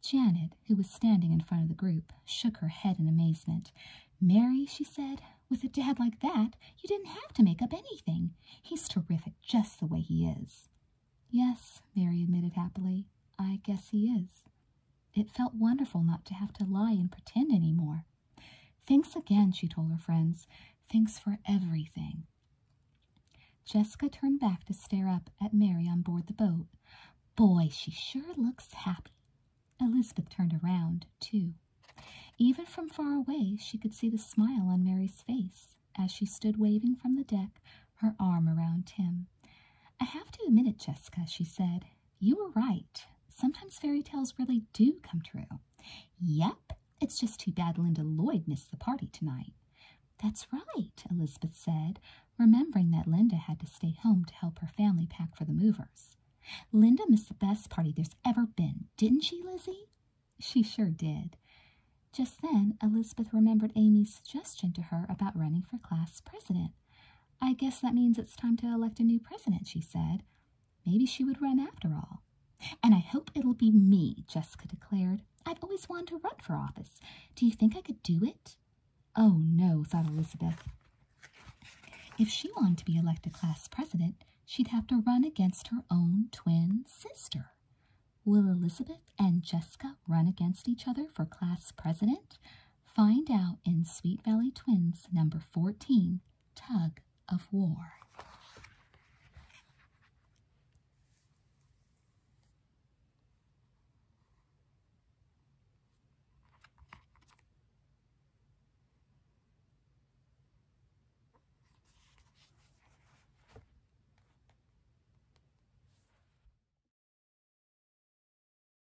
Janet, who was standing in front of the group, shook her head in amazement. Mary, she said, with a dad like that, you didn't have to make up anything. He's terrific just the way he is. Yes, Mary admitted happily. I guess he is. It felt wonderful not to have to lie and pretend any more. Thanks again, she told her friends. Thanks for everything. Jessica turned back to stare up at Mary on board the boat. Boy, she sure looks happy. Elizabeth turned around, too. Even from far away, she could see the smile on Mary's face as she stood waving from the deck, her arm around Tim. I have to admit it, Jessica, she said. You were right. Sometimes fairy tales really do come true. Yep, it's just too bad Linda Lloyd missed the party tonight. That's right, Elizabeth said, remembering that Linda had to stay home to help her family pack for the movers. Linda missed the best party there's ever been, didn't she, Lizzie? She sure did. Just then, Elizabeth remembered Amy's suggestion to her about running for class president. I guess that means it's time to elect a new president, she said. Maybe she would run after all. And I hope it'll be me, Jessica declared. I've always wanted to run for office. Do you think I could do it? Oh, no, thought Elizabeth. If she wanted to be elected class president, she'd have to run against her own twin sister. Will Elizabeth and Jessica run against each other for class president? Find out in Sweet Valley Twins number 14, Tug of War.